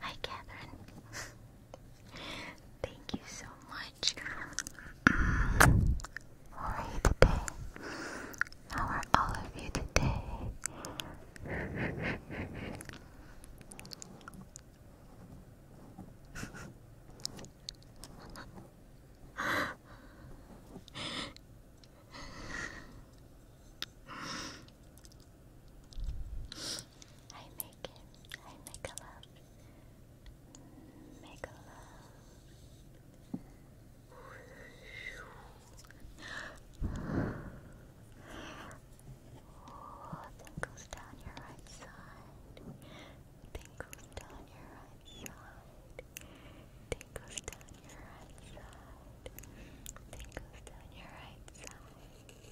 Hi, Catherine. [LAUGHS] Thank you so much. How are you today? How are all of you today? [LAUGHS] I make it. I make a love. Make a love. Oh, tingles down your right side. Tingles down your right side. Tingles down your right side. Tingles down your right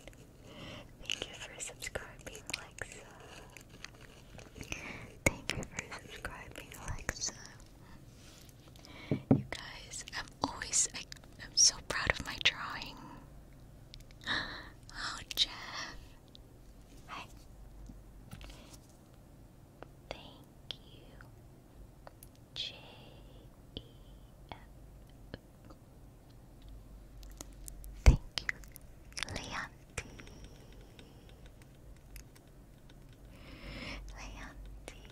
side. Thank you for subscribing, Alexa. Thank you for subscribing, Alexa. You guys, I'm always I, am so proud of my drawing. [GASPS] Oh, Jeff. Hi. Thank you, J E F. Thank you, Leonti. Leonti.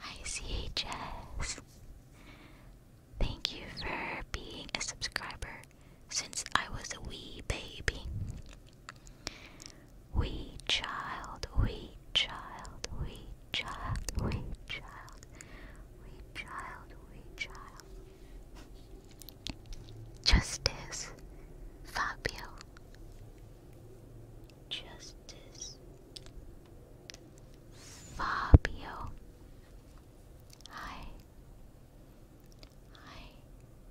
ICHS. Thank you for being a subscriber since I was a wee baby. Wee child, wee child, wee child, wee child, wee child, wee child. Justice, Fabio. Justice, Fabio. Hi. Hi.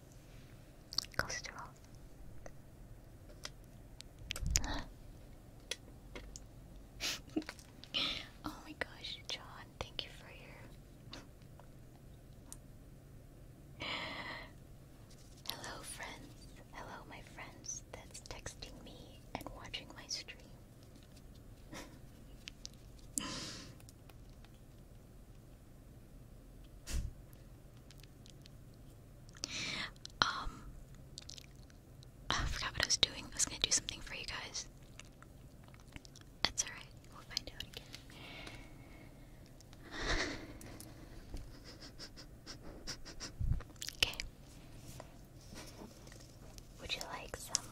[LAUGHS] oh my gosh, John, thank you for your. Hello, friends. Hello, my friends that's texting me and watching my stream. [LAUGHS] um, oh, I forgot what I was doing. I was gonna do something for you guys. That's alright, we'll find out again. [LAUGHS] okay. Would you like some?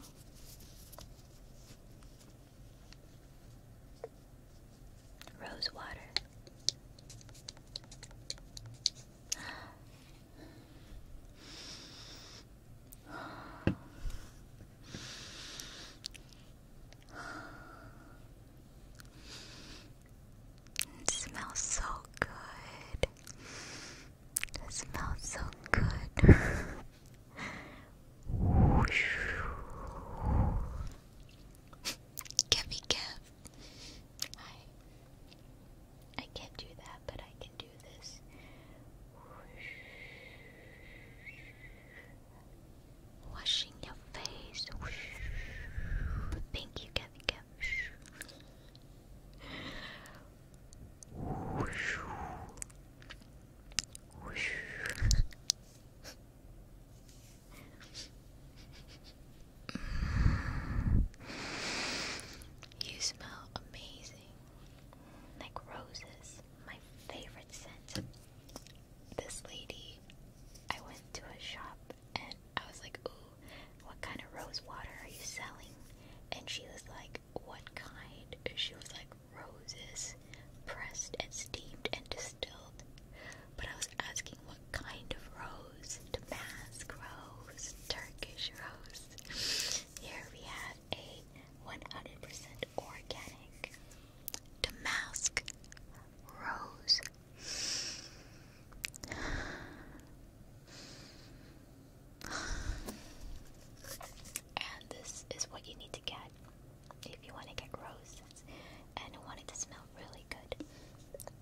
Rose water. It smells so good. It smells so good. [LAUGHS] Give me give. I I can't do that, but I can do this. Washing your face. Thank you, Kevin you smell amazing. Like roses, my favorite scent. This lady, I went to a shop and I was like, Ooh, what kind of rose water are you selling? And she was like, What kind? She was like, Roses pressed and steamed and dis but I was asking what kind of rose Damask rose, Turkish rose. Here we have a 100% organic Damask rose. And this is what you need to get if you want to get roses and I to smell really good.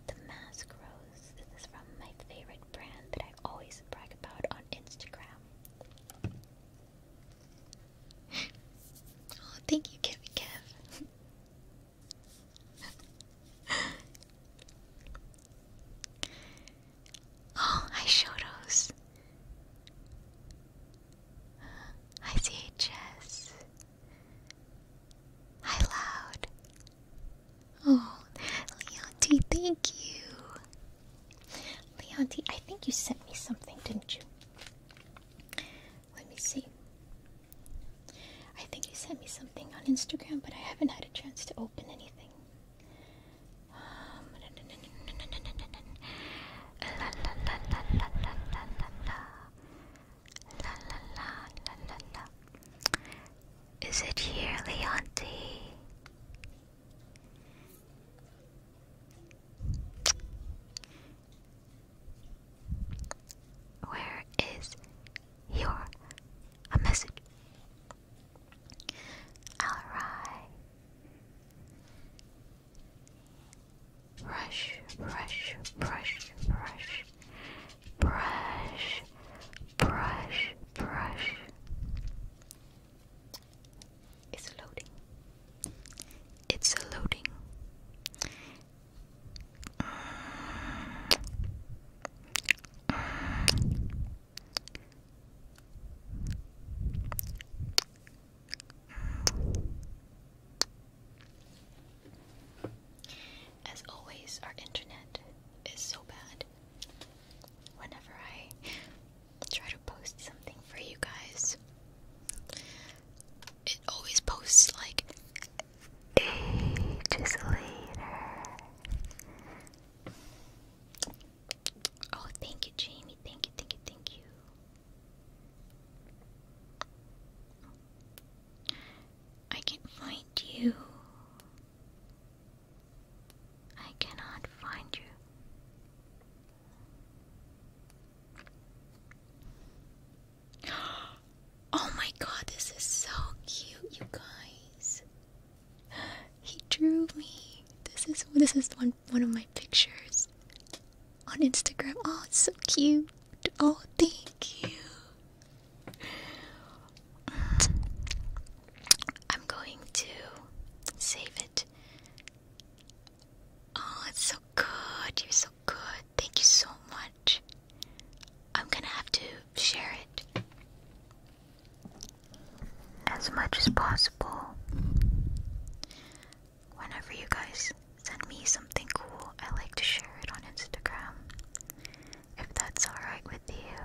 The Mask Rose. This is from my favorite brand that I always brag about on Instagram. oh, thank you, Kevin Kev. oh, hi, Shotos. Hi, CHS. Hi, Loud. Oh, Leonti, thank you. Leonti, I think you sent me something, didn't you? Let me see. I think you sent me something on Instagram, but I haven't had a chance to open anything. La la la la la la. Is it here, Leonti? Where is your message? Alright brush, brush, brush, brush, brush, brush, brush. It's loading. It's loading. As always, our internet is so bad. Whenever I try to post something for you guys, it always posts like ages later. Oh, thank you, Jamie. Thank you, thank you, thank you. I can find you. I cannot find you. [GASPS] Oh my god, this is so cute, you guys. [GASPS] He drew me. This is this is one one of my pictures on Instagram. Oh, it's so cute. Oh, thank you. [SIGHS] I'm going to save it. Oh, it's so good. You're so good. Thank you so much. I'm gonna have to share it as much as possible whenever you guys send me something cool. I like to share it on Instagram. If that's alright with you.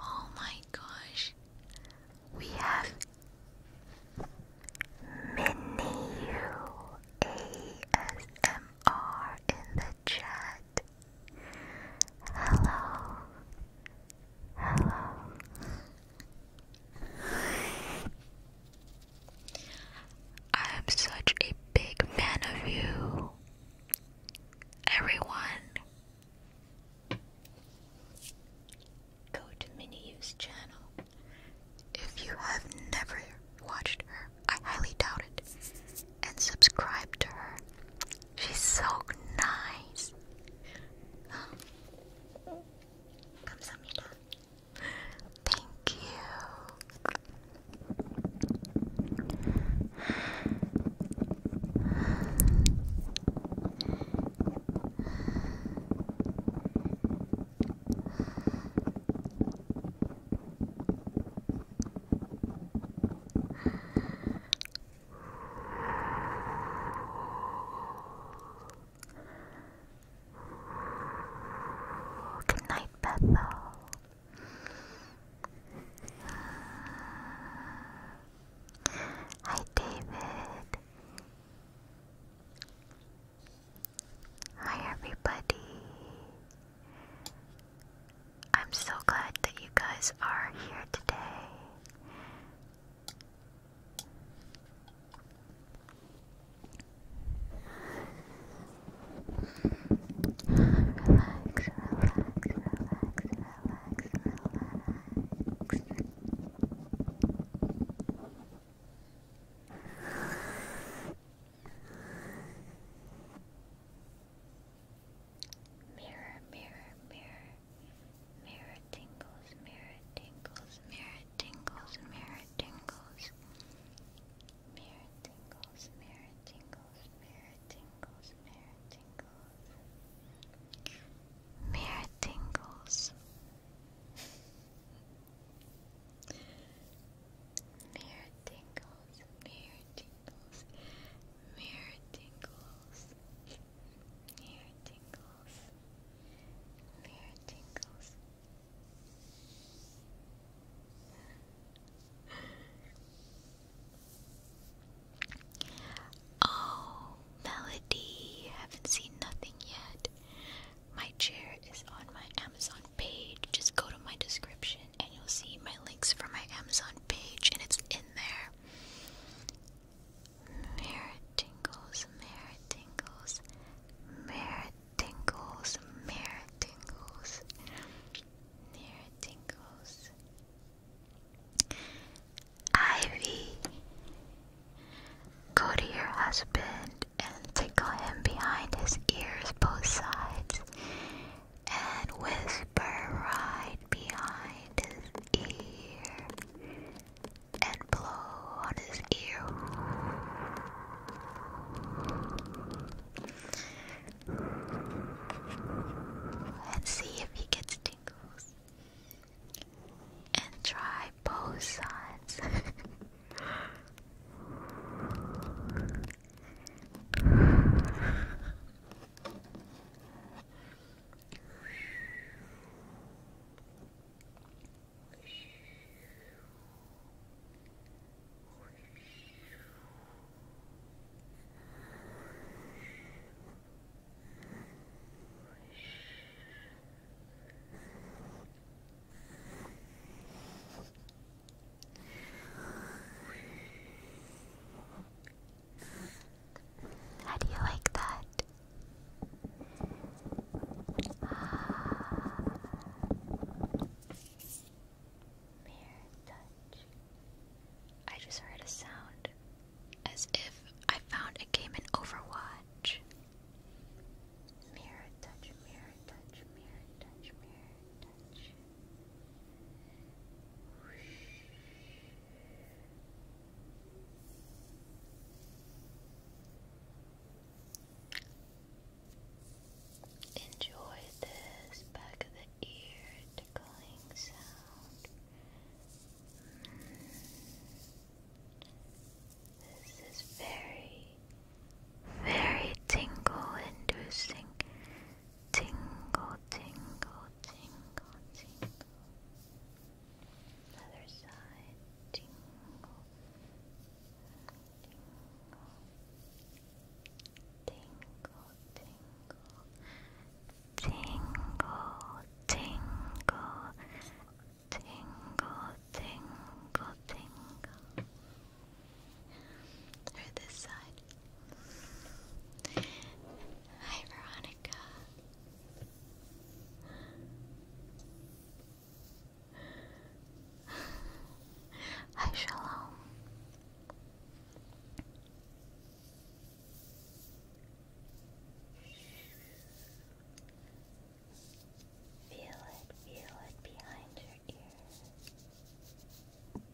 Oh my gosh, we have Minu ASMR in the chat. Hello. Hello. I am such a big fan of you. Everyone go to Miniu's channel. If you have never watched her, I highly doubt it. And subscribe to her. She's so nice. Thank you. Good night, Bethel. Hi, David. Hi, everybody. I'm so glad that you guys are here today. Relax, relax, relax, relax, relax. Mirror, mirror, mirror, mirror tingles, mirror tingles, mirror tingles, mirror tingles, mirror tingles, mirror tingles, mirror tingles, Mirror tingles, mirror tingles, mirror tingles, mirror tingles, mirror tingles. [LAUGHS] oh, Melody, haven't seen nothing yet. My chair is on my Amazon page. Just go to my description and you'll see my links for my Amazon page, and it's in there. Merit tingles, merit tingles, merit tingles, merit tingles, merit tingles. Ivy, Go to your husband and tickle him behind his ears, both sides, and whisper right behind his ear, and blow on his ear. And see if he gets tingles and try both sides. [LAUGHS] How do you like that? Ah. touch. I just heard a sound as if I found a game in Overwatch. Mirror touch, mirror touch, mirror touch, mirror touch. Enjoy this back of the ear tickling sound. This is very, very tingle inducing. Tingle, tingle, tingle, tingle. Other side, tingle, tingle, tingle, tingle, tingle, tingle, Tingle, tingle, tingle. Or this side. Hi, Veronica. Hi, Shalom. Feel it, feel it behind your ears.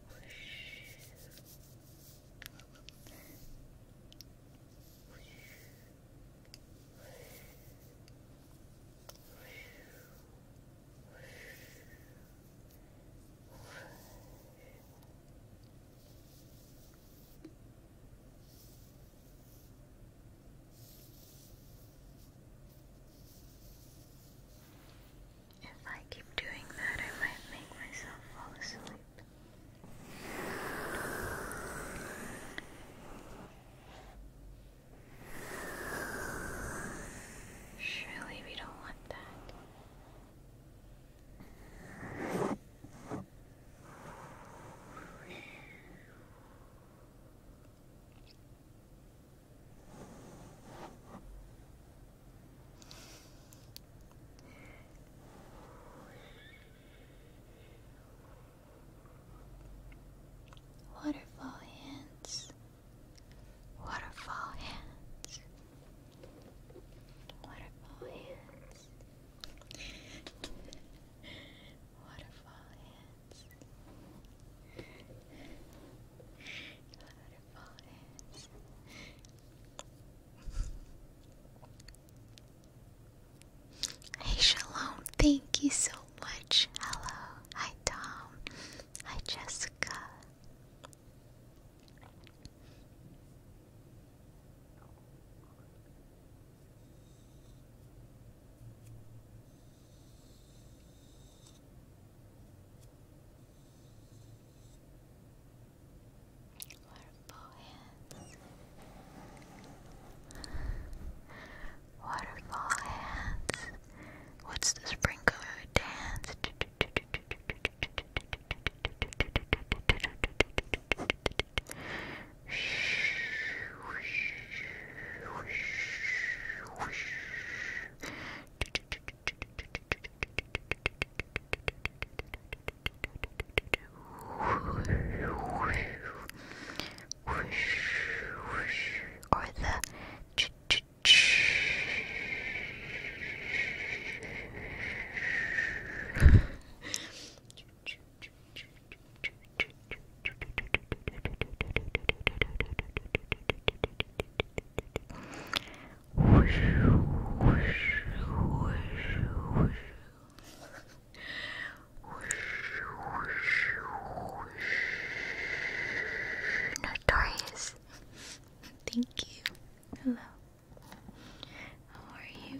Whoosh. Whoosh. Whoosh. Whoosh. Whoosh. If I keep doing that, I might make myself fall asleep. Surely we don't want that. Waterfall hands, waterfall hands, waterfall hands, waterfall hands. Hey Shalom, thank you so much. Hello. Hi Tom. Hi Jessica. Waterfall hands. Waterfall hands. What's the sprinkler dance? [LAUGHS] or the ch ch ch ch Notorious. Thank you. Hello. How are you?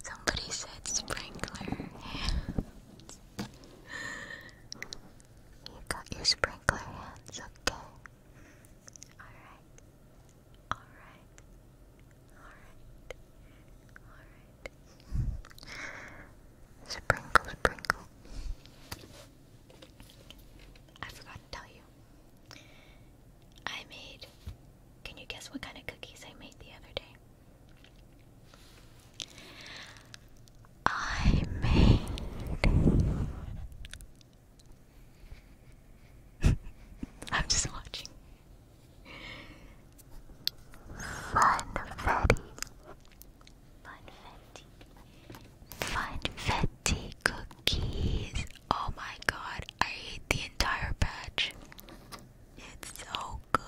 Somebody said sprinkler. you got your sprinkler hands, okay? Alright. Alright. Alright. Alright. Sprinkle, sprinkle. I forgot to tell you. I made. Can you guess what kind of cookies I made the other day? I made. [LAUGHS] I'm just watching. Funfetti. Funfetti. Funfetti tea cookies. Oh my god, I ate the entire batch. It's so good.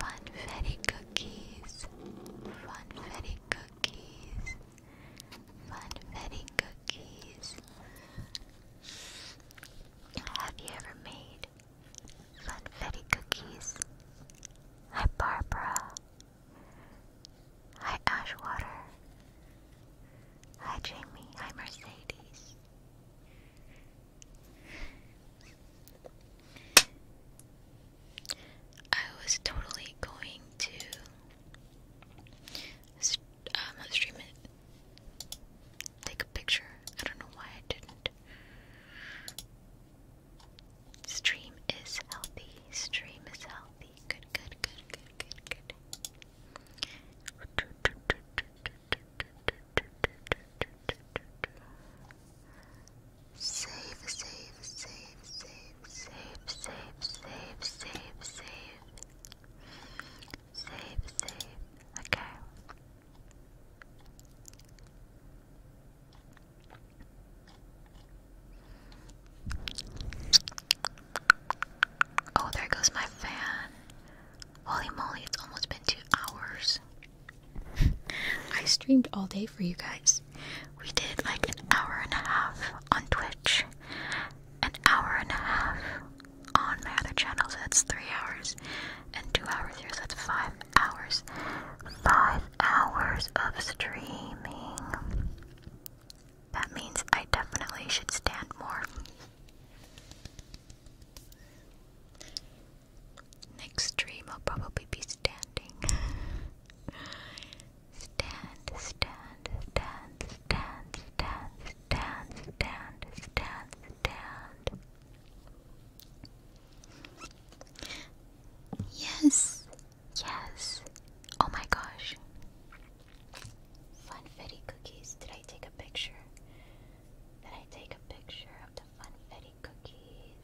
Funfetti cookies. Funfetti cookies. Funfetti cookies. Have you ever made funfetti cookies? Hi Barbara. Hi, Ashwater. Hi, Jamie. Hi, Mercedes. I was totally going to um, stream it, take a picture. I don't know why I didn't. Stream is healthy. Stream is health happy. Good, good, good, good, good, good. Save, save, save, save, save, save, save, save, save. Save, save. Okay. Oh, there goes my fan. Holy moly, it's almost been two hours. [LAUGHS] I streamed all day for you guys. We did like an hour and a half on Twitch, an hour and a half on my other channels. so that's three hours, and two hours here, that's five hours. Five hours of streaming. That means I definitely should stand more. Next stream, will probably be standing. stand, stand, stand, stand, stand, stand, stand, stand, stand. Yes, Yes. Oh my gosh. Funfetti cookies. Did I take a picture? Did I take a picture of the Funfetti cookies?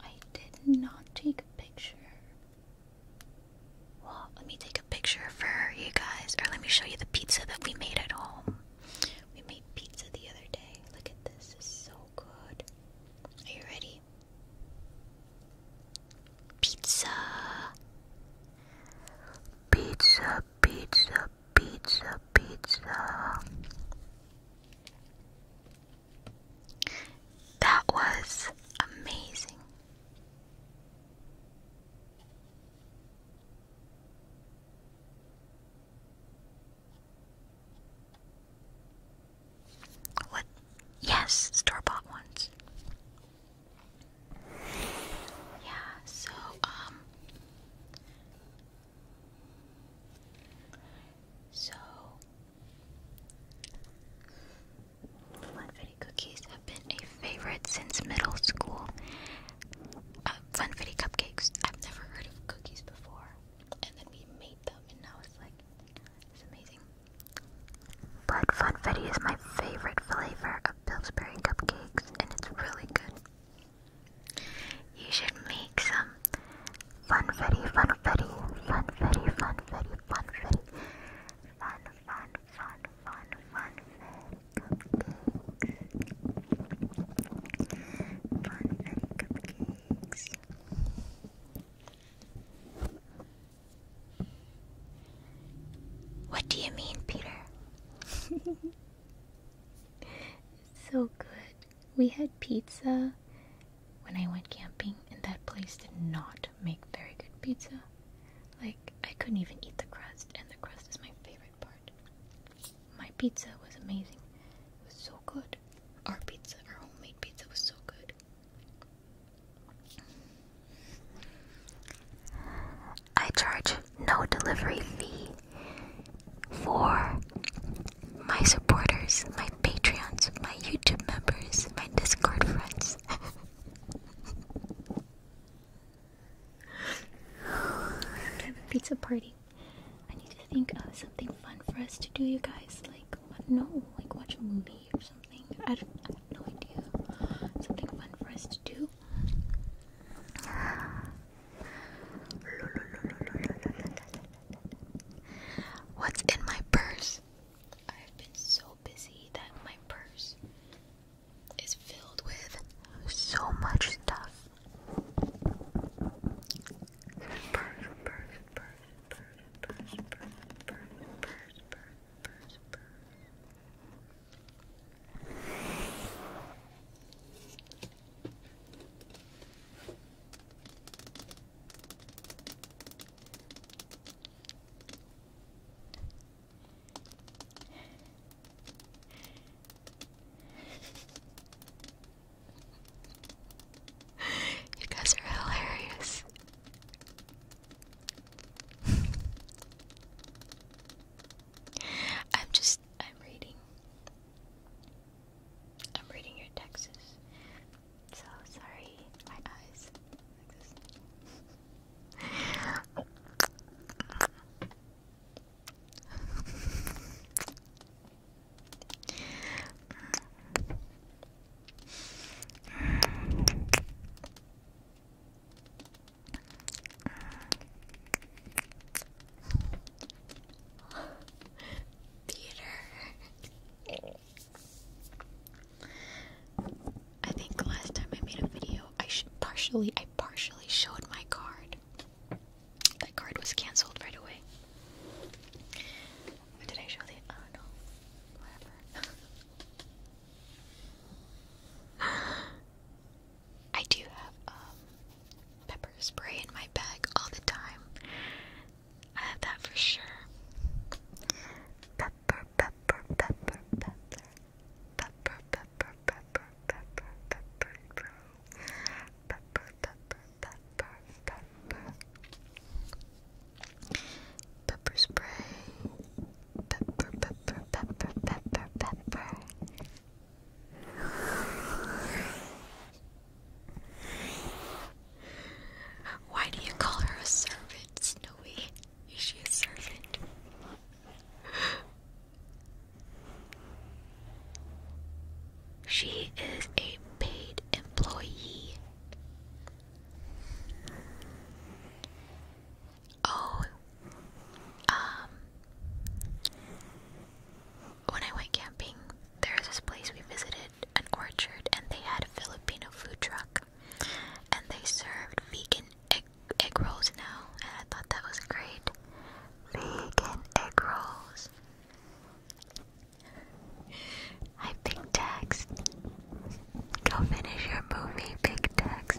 I did not take a picture. Well, let me take a picture for you guys, or let me show you the pizza that we made at home. We made pizza the other day. Look at this, it's so good. Are you ready? Pizza. Pizza, pizza, pizza, pizza. That was amazing. What? Yes, store bought ones. Yeah, so, um, so, Funfetti cookies have been a favorite since middle school. Uh, Funfetti cupcakes, I've never heard of cookies before, and then we made them, and now it's like, it's amazing. But funfetti is my favorite flavor of Pillsbury cupcakes, and it's really good. You should make some funfetti, funfetti, funfetti, funfetti, funfetti, fun, fun, fun, fun, funfetti cupcakes, funfetti cupcakes. What do you mean, Peter? [LAUGHS] so good. We had pizza when I went camping, and that place did not make very good pizza. Like, I couldn't even eat the crust, and the crust is my favorite part. My pizza was amazing. It was so good. Our pizza, our homemade pizza, was so good. I charge no delivery fee for my supporters, my Patreons, my YouTube members, my Discord friends. have a pizza party. I need to think of something fun for us to do, you guys. Like, no, like watch a movie something. I have no idea. Something fun for us to do. What's in my purse? I've been so busy that my purse is filled with so much stuff. Purse, purse, purse, purse, purse, purse, purse, purse, purse, you guys are hilarious. [SIGHS] I'm just, I'm reading. I'm reading your texts. So sorry, my eyes. [LAUGHS] Theater. I think last time I made a video, I partially, I partially showed my card. That card was cancelled right away. did I show the? Oh no, whatever. [LAUGHS] [SIGHS] I do have um, pepper spray in my bag all the time. I have that for sure. pepper, pepper, pepper. Pepper, pepper, pepper, pepper, pepper, pepper. Pepper, pepper, pepper, pepper. Pepper spray pepper, pepper, pepper, pepper, pepper. Why do you call her a servant, Snowy? Is she a servant? She is a paid employee. Oh, um, when I went camping, there this place we visited, an orchard, and they had a Filipino food truck, and they served vegan egg, egg rolls now, and I thought that was great. Vegan egg rolls. I picked text. Go finish your movie, Big Tex.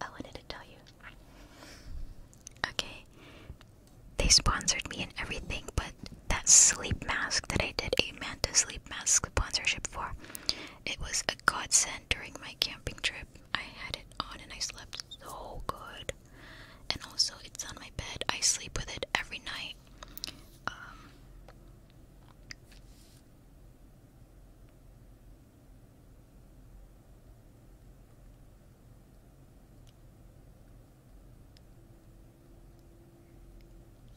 I wanted to tell you. Okay. They sponsored me and everything, but that sleep mask that I did a Manta sleep mask sponsorship for, it was a godsend during my camping trip. I had it on and I slept so good. And also, it's on my bed. I sleep with it every night. Um,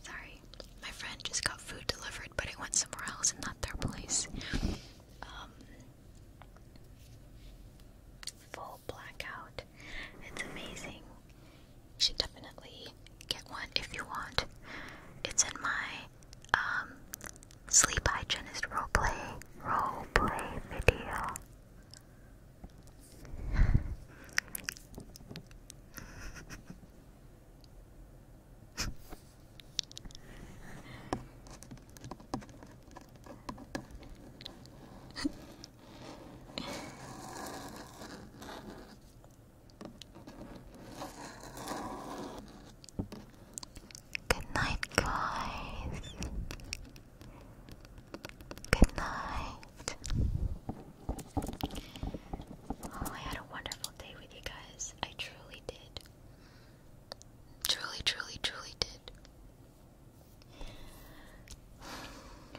Sorry, my friend just got food delivered, but it went somewhere else and not their place. Um, full blackout. It's amazing. You should definitely get one if you want. It's in my um, sleep hygienist role play video. Good night, guys. Good night. Oh, I had a wonderful day with you guys. I truly did. Truly, truly, truly did.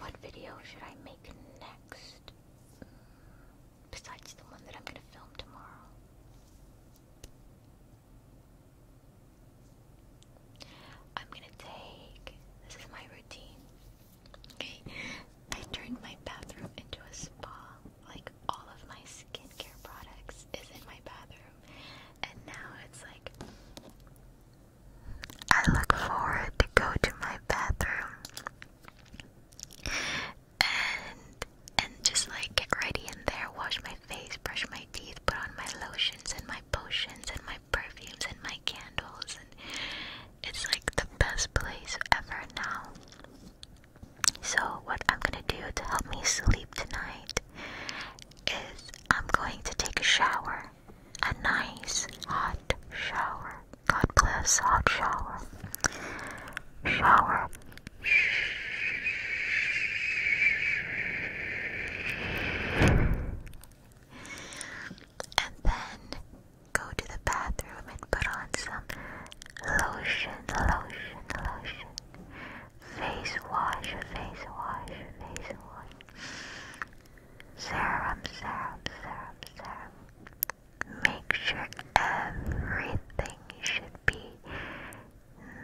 What video should I make next? Besides the one that I'm gonna film tomorrow. I'm gonna take this is my routine. Okay, I turned my bathroom into a spa. Like all of my skincare products is in my bathroom, and now it's like I look forward to go to my bathroom and and just like get ready in there, wash my face, brush my teeth, put on my lotions and my potions and my perfumes and my candles and it's like the best place ever now. So what I'm gonna do to help me sleep tonight is I'm going to take a shower. A nice hot shower. God bless hot shower. Shower, and then go to the bathroom and put on some lotion, lotion, lotion. Face wash, face wash, face wash. Serum, serum, serum, serum. Make sure everything should be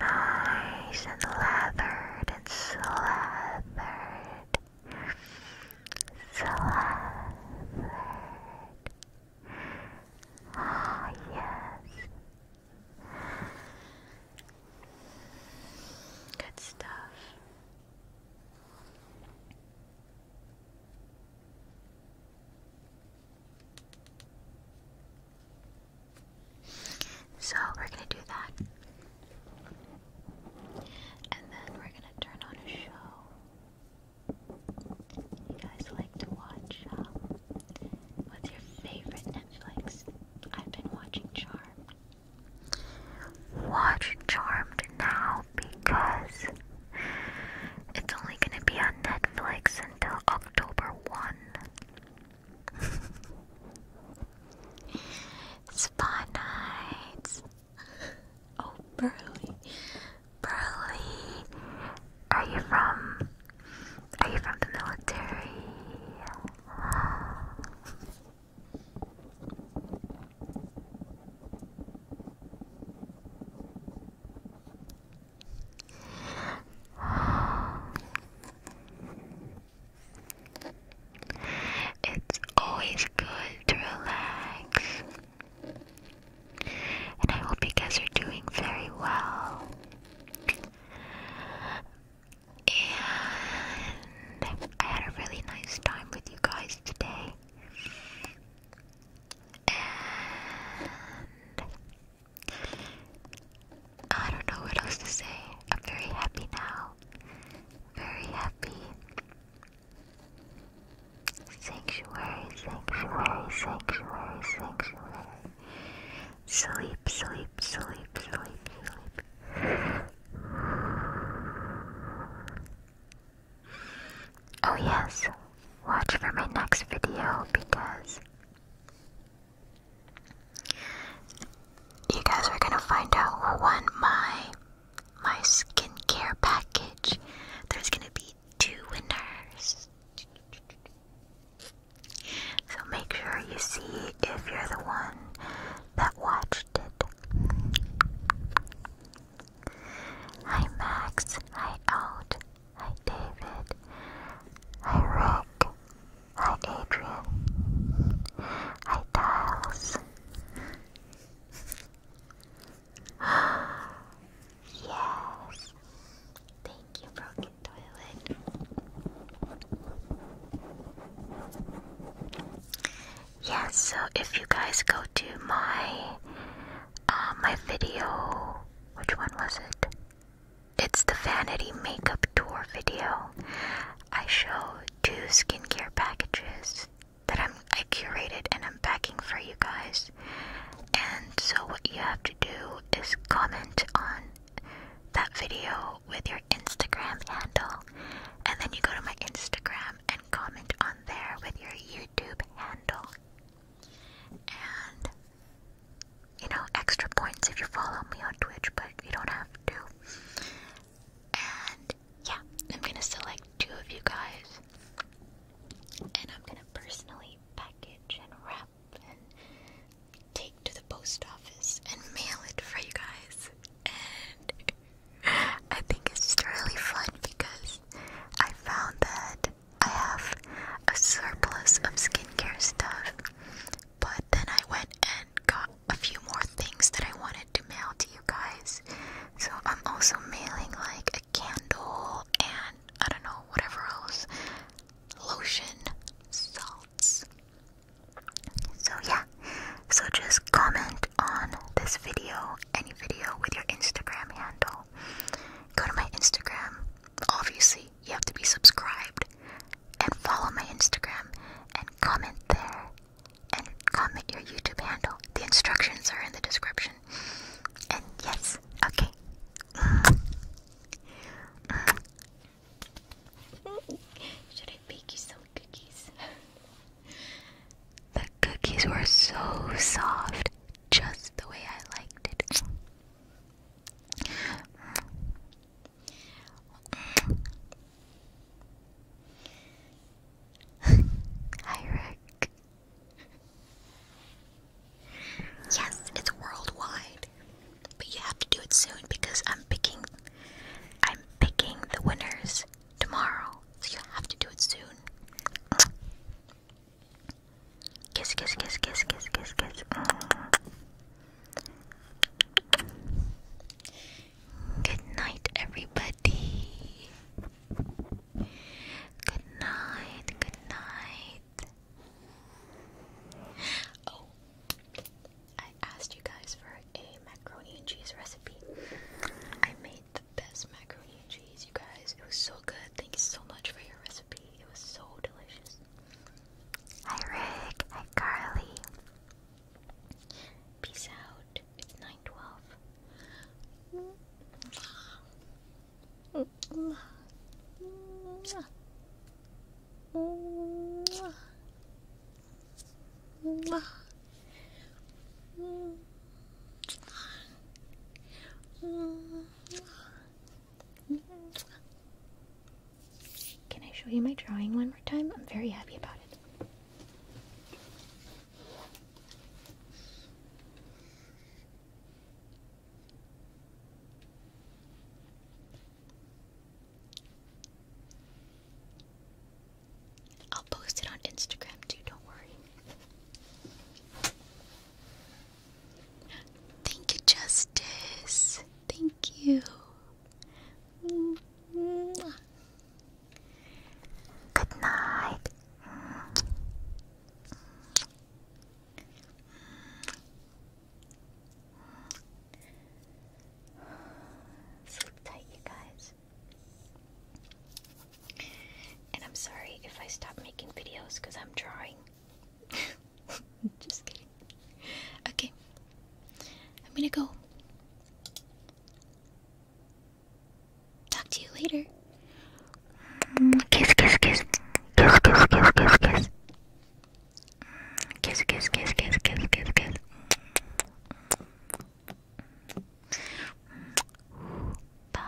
nice and leathered and slathered, slathered. Ah, yes. Good stuff. So we're gonna do that. And then we're gonna turn on a show. You guys like to watch, um, what's your favorite Netflix? I've been watching Charmed. Watch Charmed now because it's only gonna be on Netflix until October 1. Spa nights. Oh, Burley. Burley, are you from? Are you from the military? It's always good to relax. And I hope you guys are doing very well. And I had a really nice time with you guys today. And I don't know what else to say. I'm very happy now. Very happy. Sanctuary, sanctuary, sanctuary, sanctuary. Sleep, sleep, sleep, sleep, Oh, yes, watch for my next video because you guys are gonna find out who won my my skincare package. There's gonna be two winners. So make sure you see if you're the one that watched it. Hi Max, hi out. Hi David. Hi Rick. Hi Adrian. Hi Giles. [GASPS] yes. Thank you, Broken Toilet. Yeah, so if you guys go to my uh, my video, which one was it? It's the vanity makeup tour video. I show two skincare packages that i curated and I'm packing for you guys. And so what you have to do is comment on that video with your Instagram handle and then you go to my Instagram and comment on there with your YouTube handle. And you know, extra points if you follow me on Twitch, but you don't have to. And yeah, I'm gonna select two of you guys, and I'm gonna personally package and wrap and take to the post office and mail it for you guys. And [LAUGHS] I think it's just really fun because I found that I have a surplus of skincare stuff but then I went and got a few more things that I wanted to mail to you guys. So I'm also mailing like a candle and I don't know, whatever else. Lotion, salts. So yeah. So just comment on this video, any video with your Instagram handle. Go to my Instagram, obviously you have to be subscribed and follow my Instagram and comment there and comment your YouTube handle. The instructions are in the description. And yes, okay. Should I bake you some cookies? the cookies were so soft, just the way I liked it. Hi, Rick. Yes, it's worldwide, but you have to do it soon because I'm picking. I'm picking the winners tomorrow, so you have to do it soon. Kiss, kiss, kiss, kiss, kiss, kiss, kiss. Good night, everybody. Good night, good night. Oh, I asked you guys for a macaroni and cheese recipe. I made the best macaroni and cheese, you guys. It was so good. Thank you so much for your recipe. It was so delicious. Hi Rick. Hi Carly. Peace out. It's 912. Can I show you my drawing one more time? I'm very happy about it. I'll post it on Instagram too, don't worry. Thank you, Justice. Thank you. Good night. Sleep tight, you guys. And I'm sorry if I stop making videos because I'm drawing. [LAUGHS] [LAUGHS] Just kidding. Okay. I'm gonna go. Talk to you later. Kiss, kiss, kiss. Kiss, kiss, kiss, kiss, kiss. Kiss, kiss, kiss, kiss, kiss, kiss, kiss. Bye.